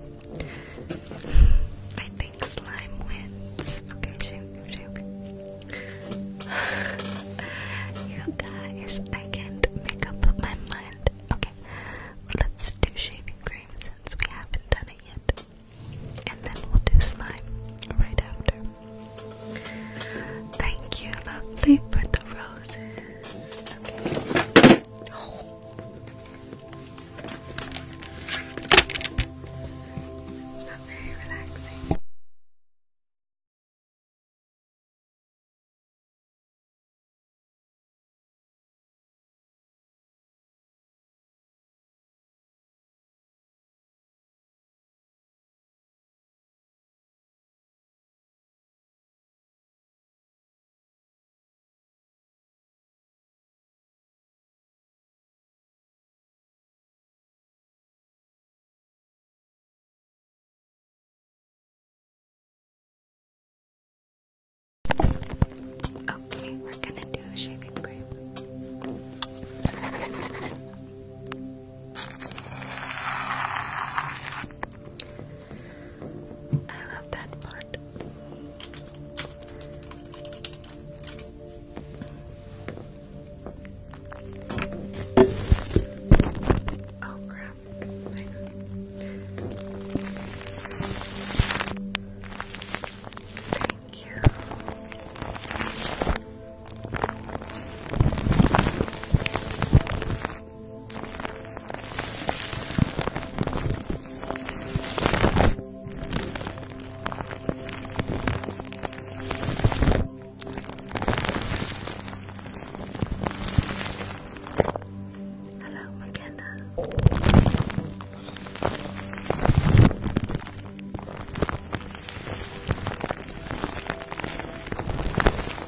I think slime wins. Okay, shaving, shaving. you guys, I can't make up my mind. Okay, let's do shaving cream since we haven't done it yet. And then we'll do slime right after. Thank you, lovely, for the rose. It's not very relaxing. Okay, we're gonna do a shaving cream. I love that part. Oh crap. Thank you. Hello, McKenna.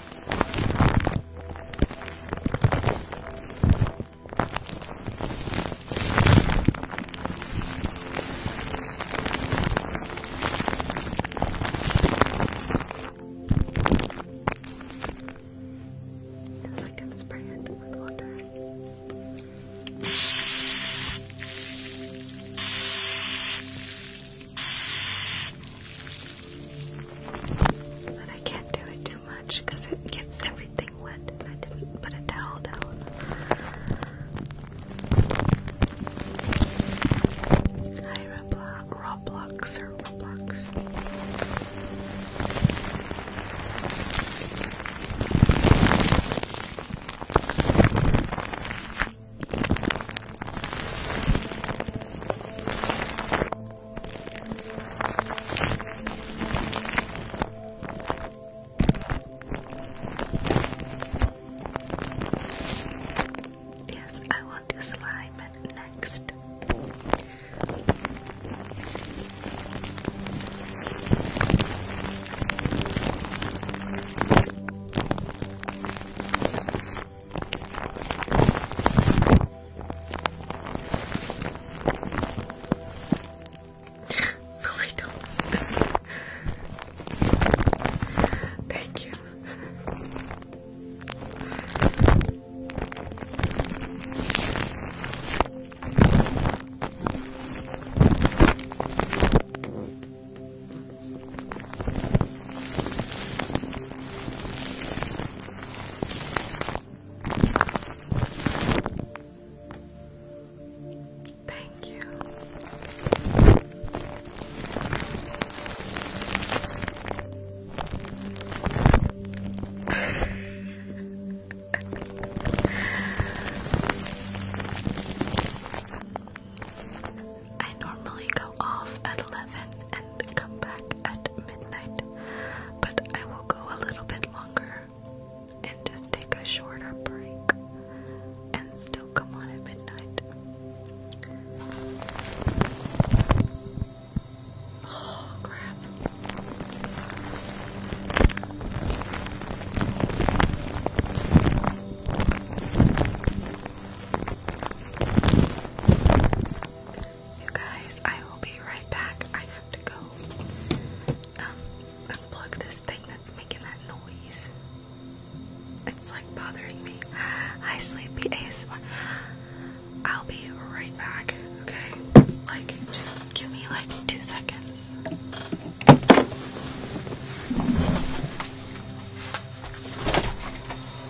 It's like I'm spraying it with water. But I can't do it too much because it gets everything wet I didn't put a towel down. Hi Roblox, Roblox or Roblox. Yes, I want to slime next no, I don't. Thank you. Thank you. I normally go off at 11 and come back at midnight, but I will go a little bit longer and just take a shorter break and still come on at midnight. Oh, crap. You guys, I will be right back. I have to go um, unplug this thing that's making that noise. It's like bothering me. Hi, sleepy ASMR. I'll be right back, okay? Like, just give me like two seconds.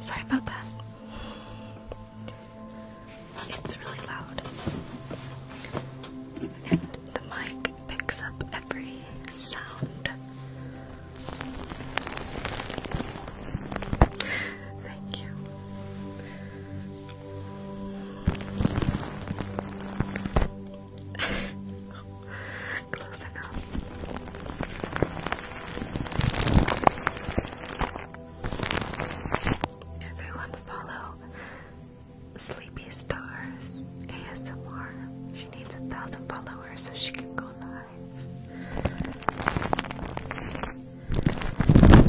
Sorry about that. It's really loud. And the mic picks up every sound. Thank you. Everyone follow Sleepy Stars ASMR. She needs a thousand followers so she can go live.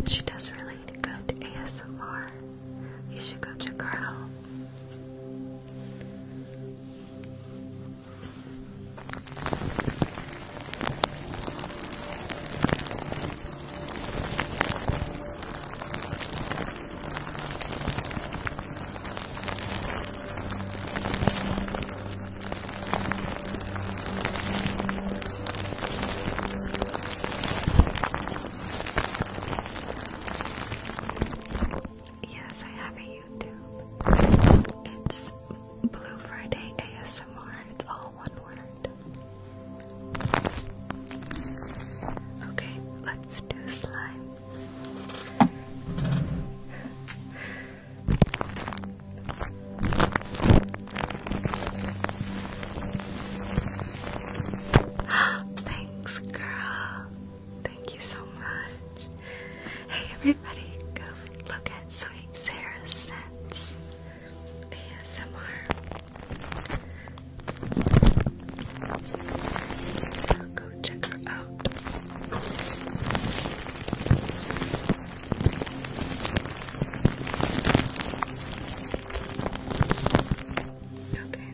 She does really good ASMR. You should go check her out. Yes, I have a YouTube. It's Blue Friday ASMR. It's all one word. Okay, let's do slime. Thanks, girl. Thank you so much. Hey everybody, go look at Sweet Sarah Scents ASMR. Go check her out. Okay.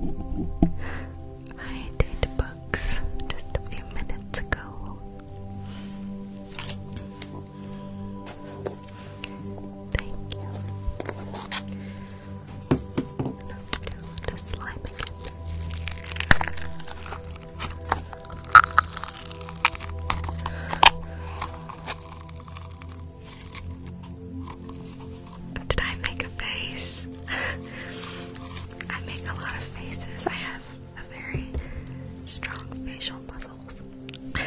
Okay. I did books just a few minutes ago. Thank you. Let's do the slime again. Did I make a face? I make a lot of faces. I have very strong facial muscles.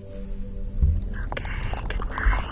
Okay, good night.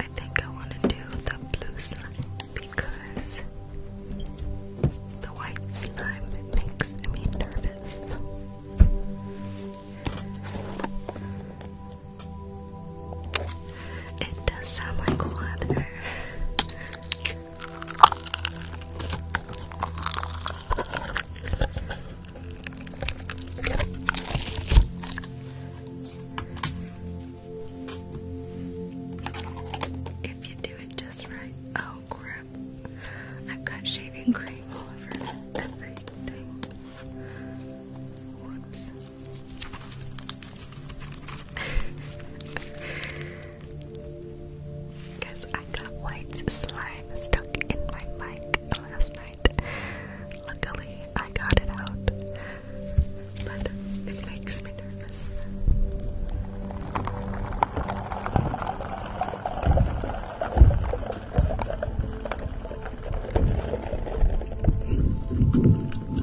I think I want to do the blue slime because the white slime makes me nervous. It does sound like water. If you do it just right. Oh crap. I've got shaving cream all over everything. Whoops. Because I got white slime stuck in my mic last night. Luckily, I got it out. But it makes me nervous. Thank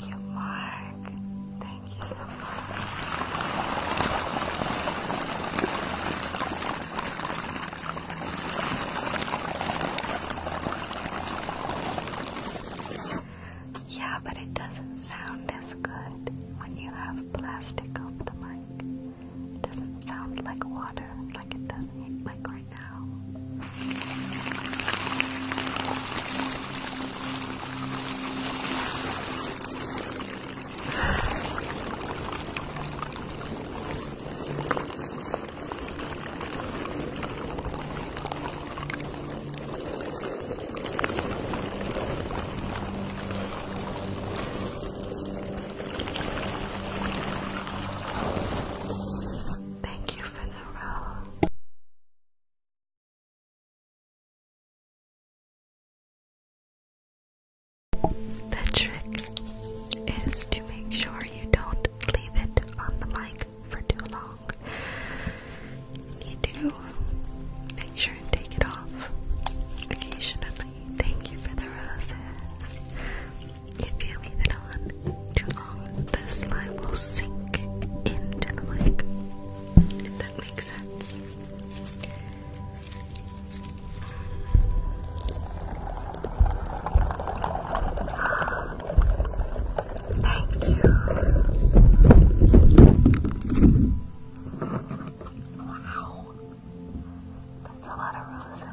you, Mark. Thank you so much. Yeah, but it doesn't sound as good when you have plastic over the mic. doesn't sound like water like it does like right now. Thank you for the row. The trick is to make sure you don't leave it on the mic for too long. You do make sure and take it off occasionally. Thank you for the roses. If you leave it on too long, the slime will sink into the mic. If that makes sense. Thank you. Wow. That's a lot of roses.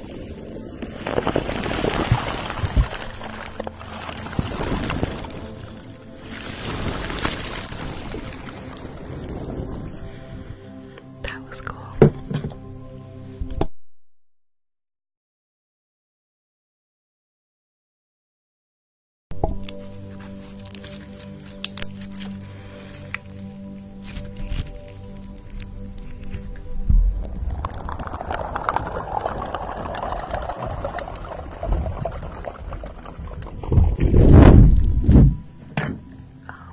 That was cool. Oh,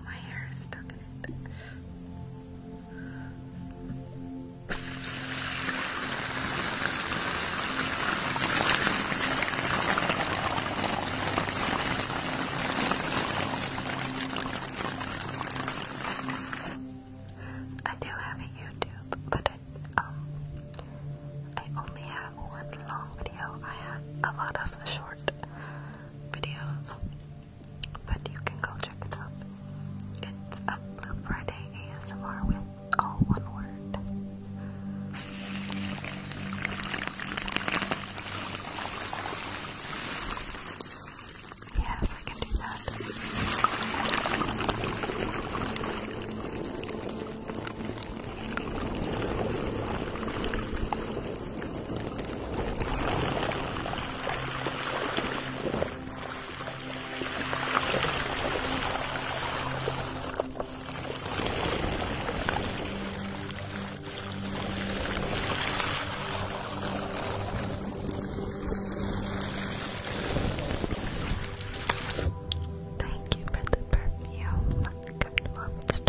my hair is stuck in it. I do have a YouTube, but I, um, I only have one long video. I have a lot of short videos, but you can go check it out. It's a Blue Friday ASMR with all one word. Yes, I can do that. Thank you for the perfume. Good monster.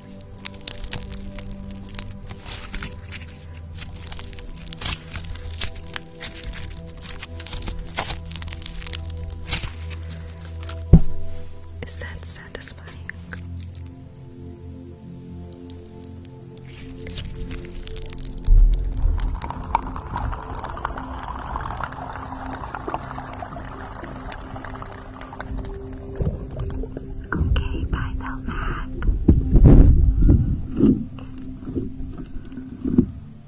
Is that satisfying? Okay, bye Belmac.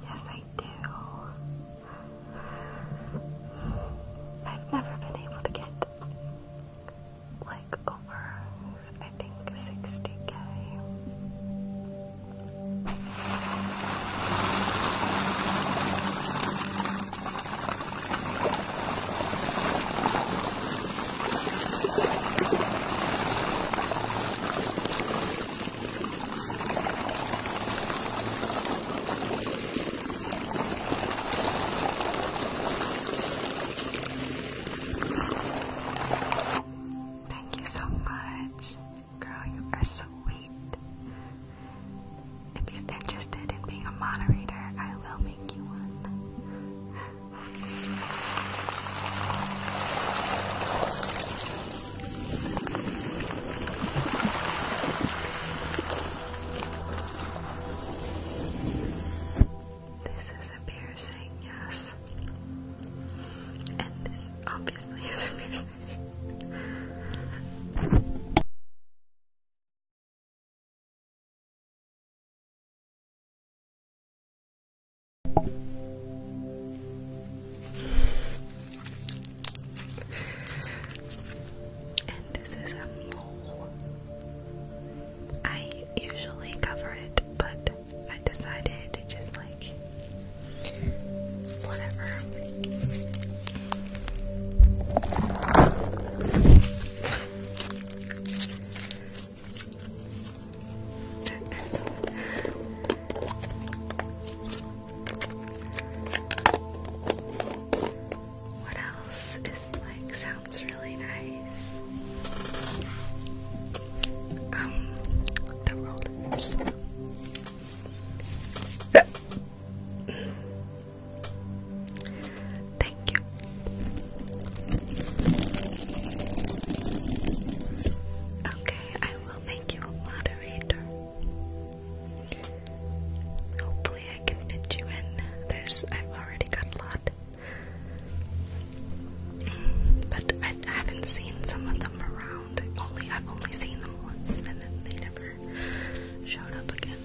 Yes, I do. I've never been able to get like over, I think, 60k. Thank you so much. Girl, you are sweet. If you're interested in being a moderator, I will wake you This is a piercing, yes. And this obviously is a piercing. And this is a mole. I usually cover it, but I decided to just like whatever what else is like sounds really nice? Um, the rollers. Thank you. Okay, I will make you a moderator. Hopefully, I can fit you in. There's, I've already got a lot, but I haven't seen some of them around. Only I've only seen them once, and then they never showed up again.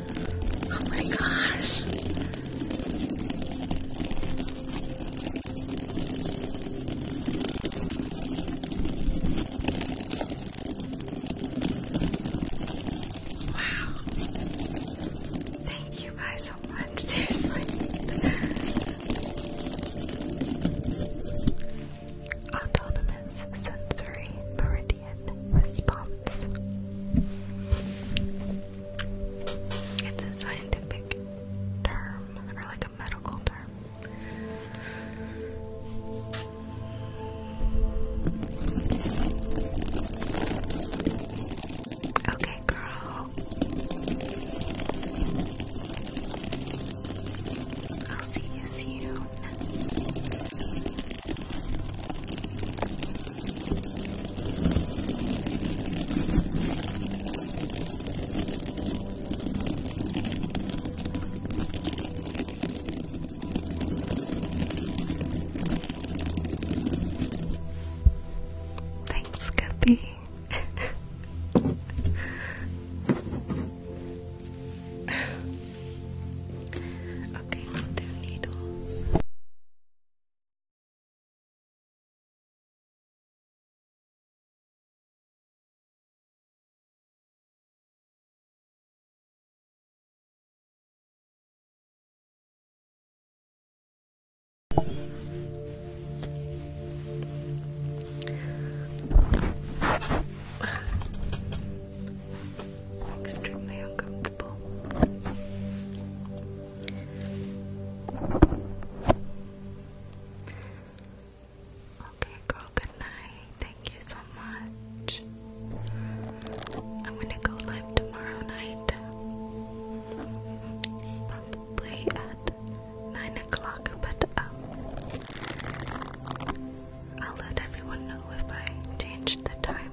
Oh my gosh. Wow. Thank you guys so much. Seriously. Autonomous sensory meridian response. It's a scientific term, or like a medical term. Okay, girl. I'll see you soon. Thanks, Guppy. okay, we needles. Extremely uncomfortable. Okay, girl, good night. Thank you so much. I'm gonna go live tomorrow night. Probably at 9 o'clock, but um, I'll let everyone know if I change the time.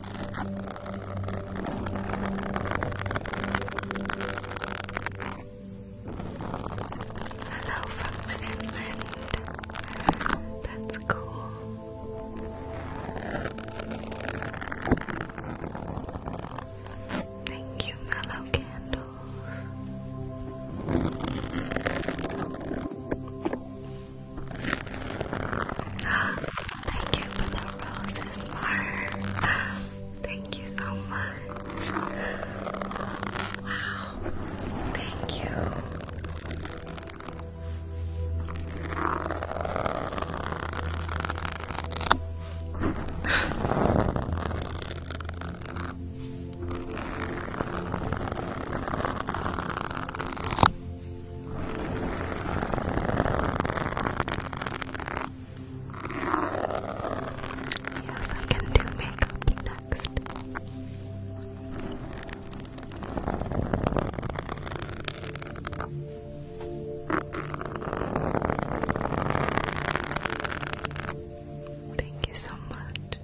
Hello from Finland. That's cool. Thank you, Mellow Candles. Thank you for the roses, Mark. Thank you so much. Wow. Thank you. Yes, I can do makeup next. Thank you so much.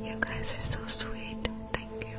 You guys are so sweet. Thank you.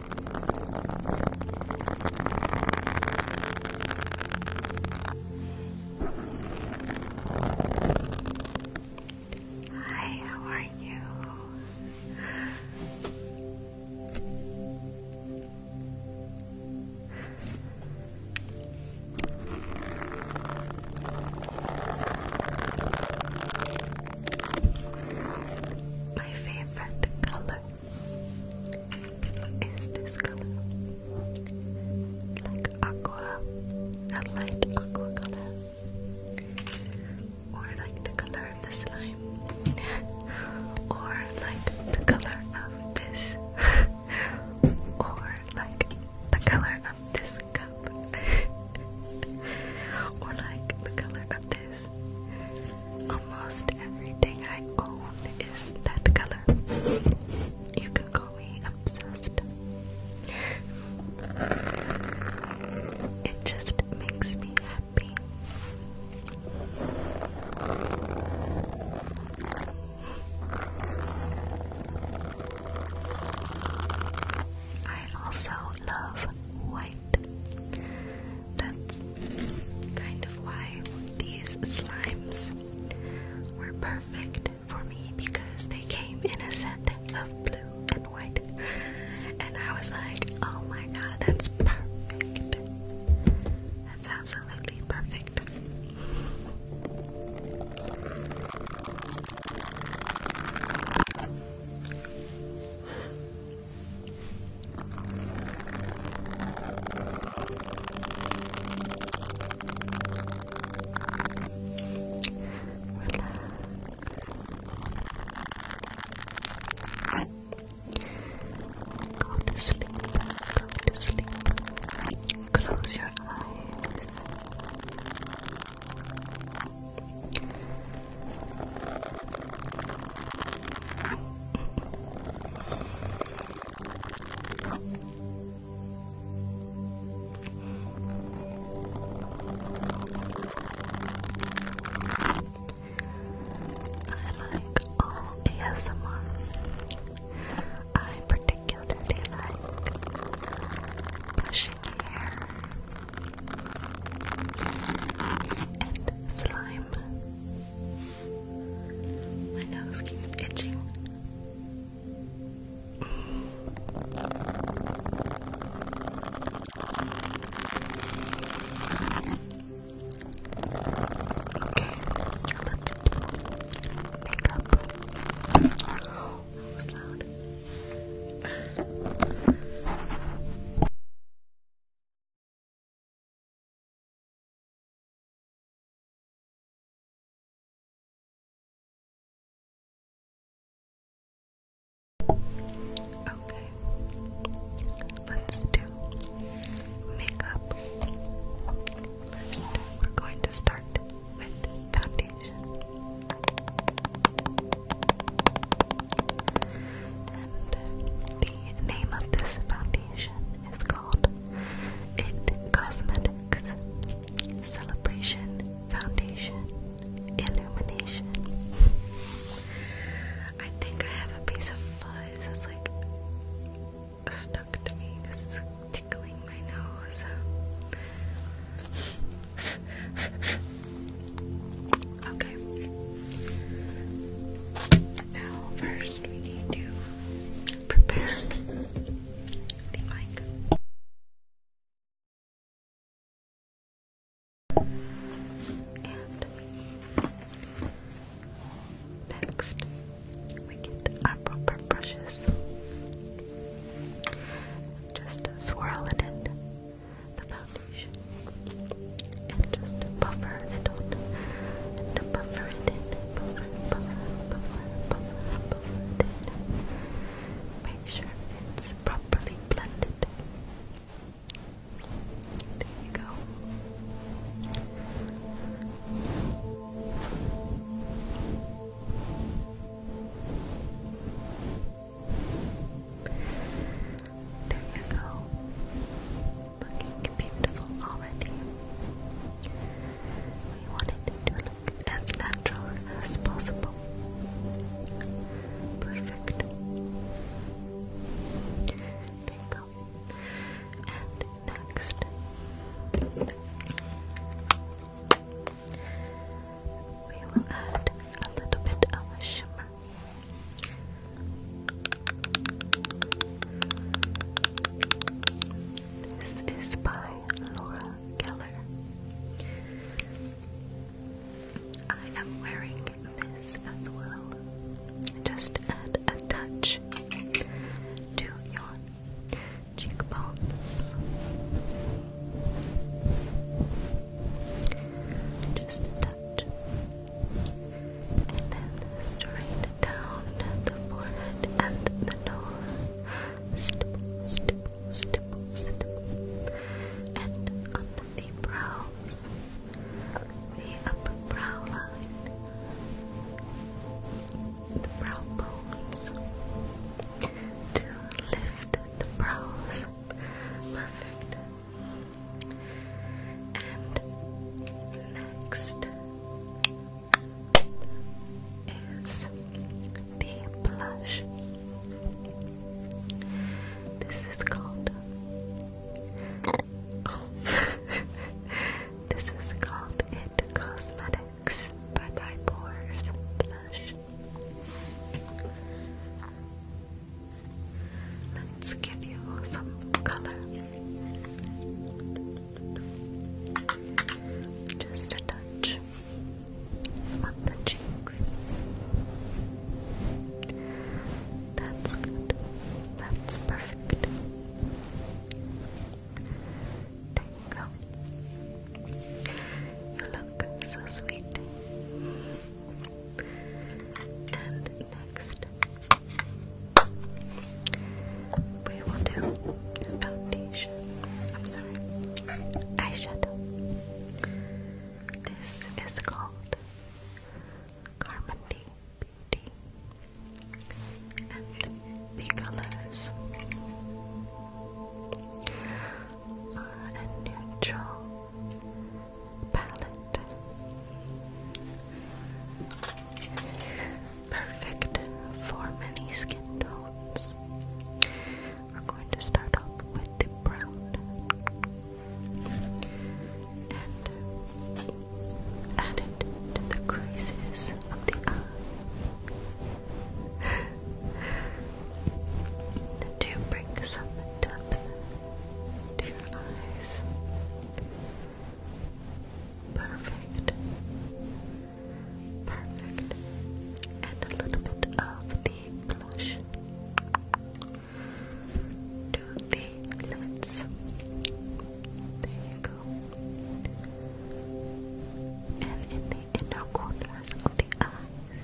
Hi, how are you? My favorite color is this color like aqua, a light aqua color, or like the color of the slime, or like the color of this, or like the color of this cup, or like the color of this. Almost everything I own is that color. You can call me obsessed. It just makes me happy. I also love white. That's kind of why these slimes were perfect for me because they came in a set of blue and white. And I was like, oh my god, that's perfect. That's absolutely perfect. Go to sleep. Go to sleep. Close your eyes like all ASMR. I particularly like brushing hair and slime. My nose keeps itching. Okay, let's Oh, that was loud. Okay, let's do makeup. First, we're going to start with foundation. And the name of this foundation it's called It Cosmetics Celebration Foundation Illumination. I think I have a piece of fuzz that's like stuck to me because it's tickling my nose. okay. Now, first we need to prepare the mic. And next, we get our proper brushes. Just swirl it in the foundation and just buffer it out and buffer it in, buffer, buffer, buffer, buffer, buffer it in. Make sure it's properly blended. There you go. There you go looking beautiful already. We wanted to look as natural as possible. Perfect. There you go. And next, we will add a little bit of shimmer. This is by Laura Keller. I am wearing this as well. Just add a touch to your cheekbones. Just a touch and then straight down the forehead and the nose. Stipple, stipple, stipple, stipple. And on the brows, the upper brow line, the brow bones, to lift the brows. Perfect. And next is the blush. This is called. this is called It Cosmetics by By Pores Blush. Let's give you some color. Just a touch on the cheeks. That's good. That's perfect. Tingle. You look so sweet. And next, we will do foundation. I'm sorry, eyeshadow. This is called Carmody Beauty, and the colors are a neutral palette perfect for many skin tones. We're going to start off with the brown and add it to the creases of the eye to bring some depth to your eyes. Perfect. Perfect. And a little bit of the blush to the lips. There you go. And in the inner corners of the eyes.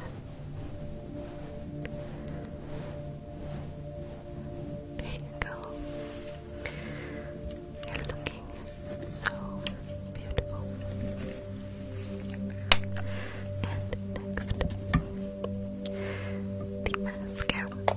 There you go. You're looking so beautiful. And next, the mascara. Okay.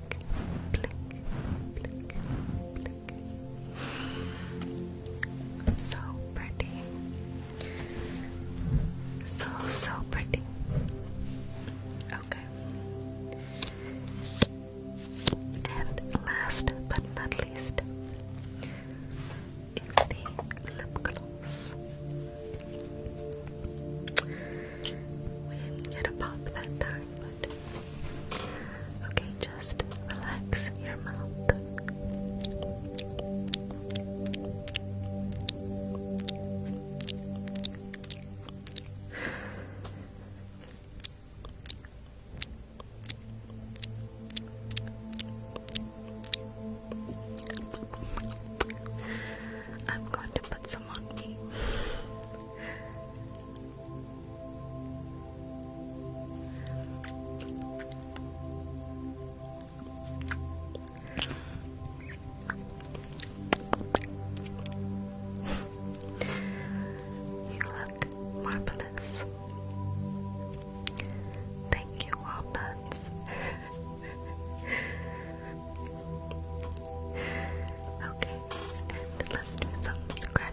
blink, blink, blink, blink. So pretty. So, so pretty. Okay. And last but not least is the lip gloss. We didn't get a pop that time, but Okay, just relax your mouth. I'm going to put some on me. You look marvelous. Thank you, walnuts. okay, and let's do some scratching.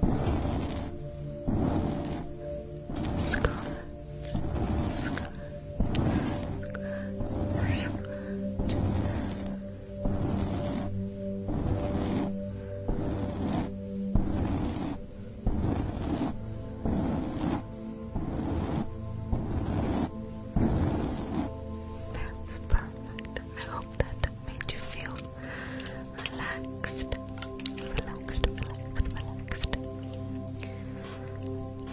That's perfect. I hope that made you feel relaxed, relaxed, relaxed, relaxed.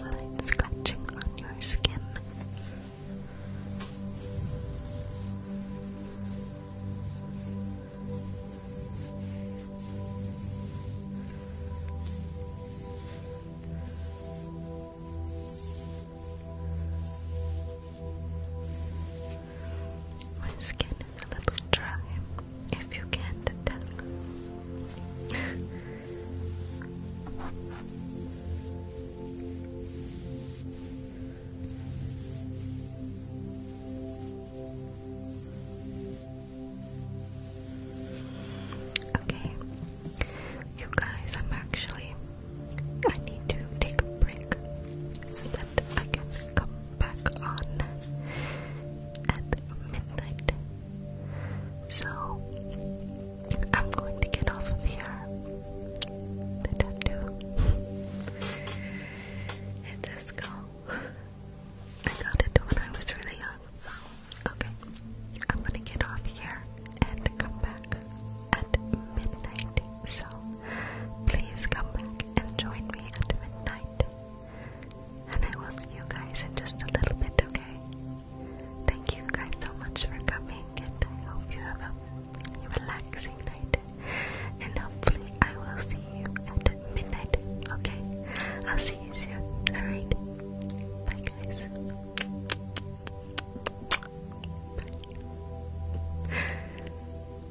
Light on your skin. My skin a little dry, if you can't okay, you guys, I'm actually. I need to take a break I can come back on at midnight. So I'm going to get off of here. The tattoo. and this I got it when I was really young. Okay. I'm gonna get off here and come back at midnight. So please come back and join me at midnight. And I will see you guys in just a little bit, okay? Thank you guys so much for coming, and I hope you have a relaxing night. And hopefully, I will see you at midnight, okay? I'll see you soon, alright? Bye, guys. Bye.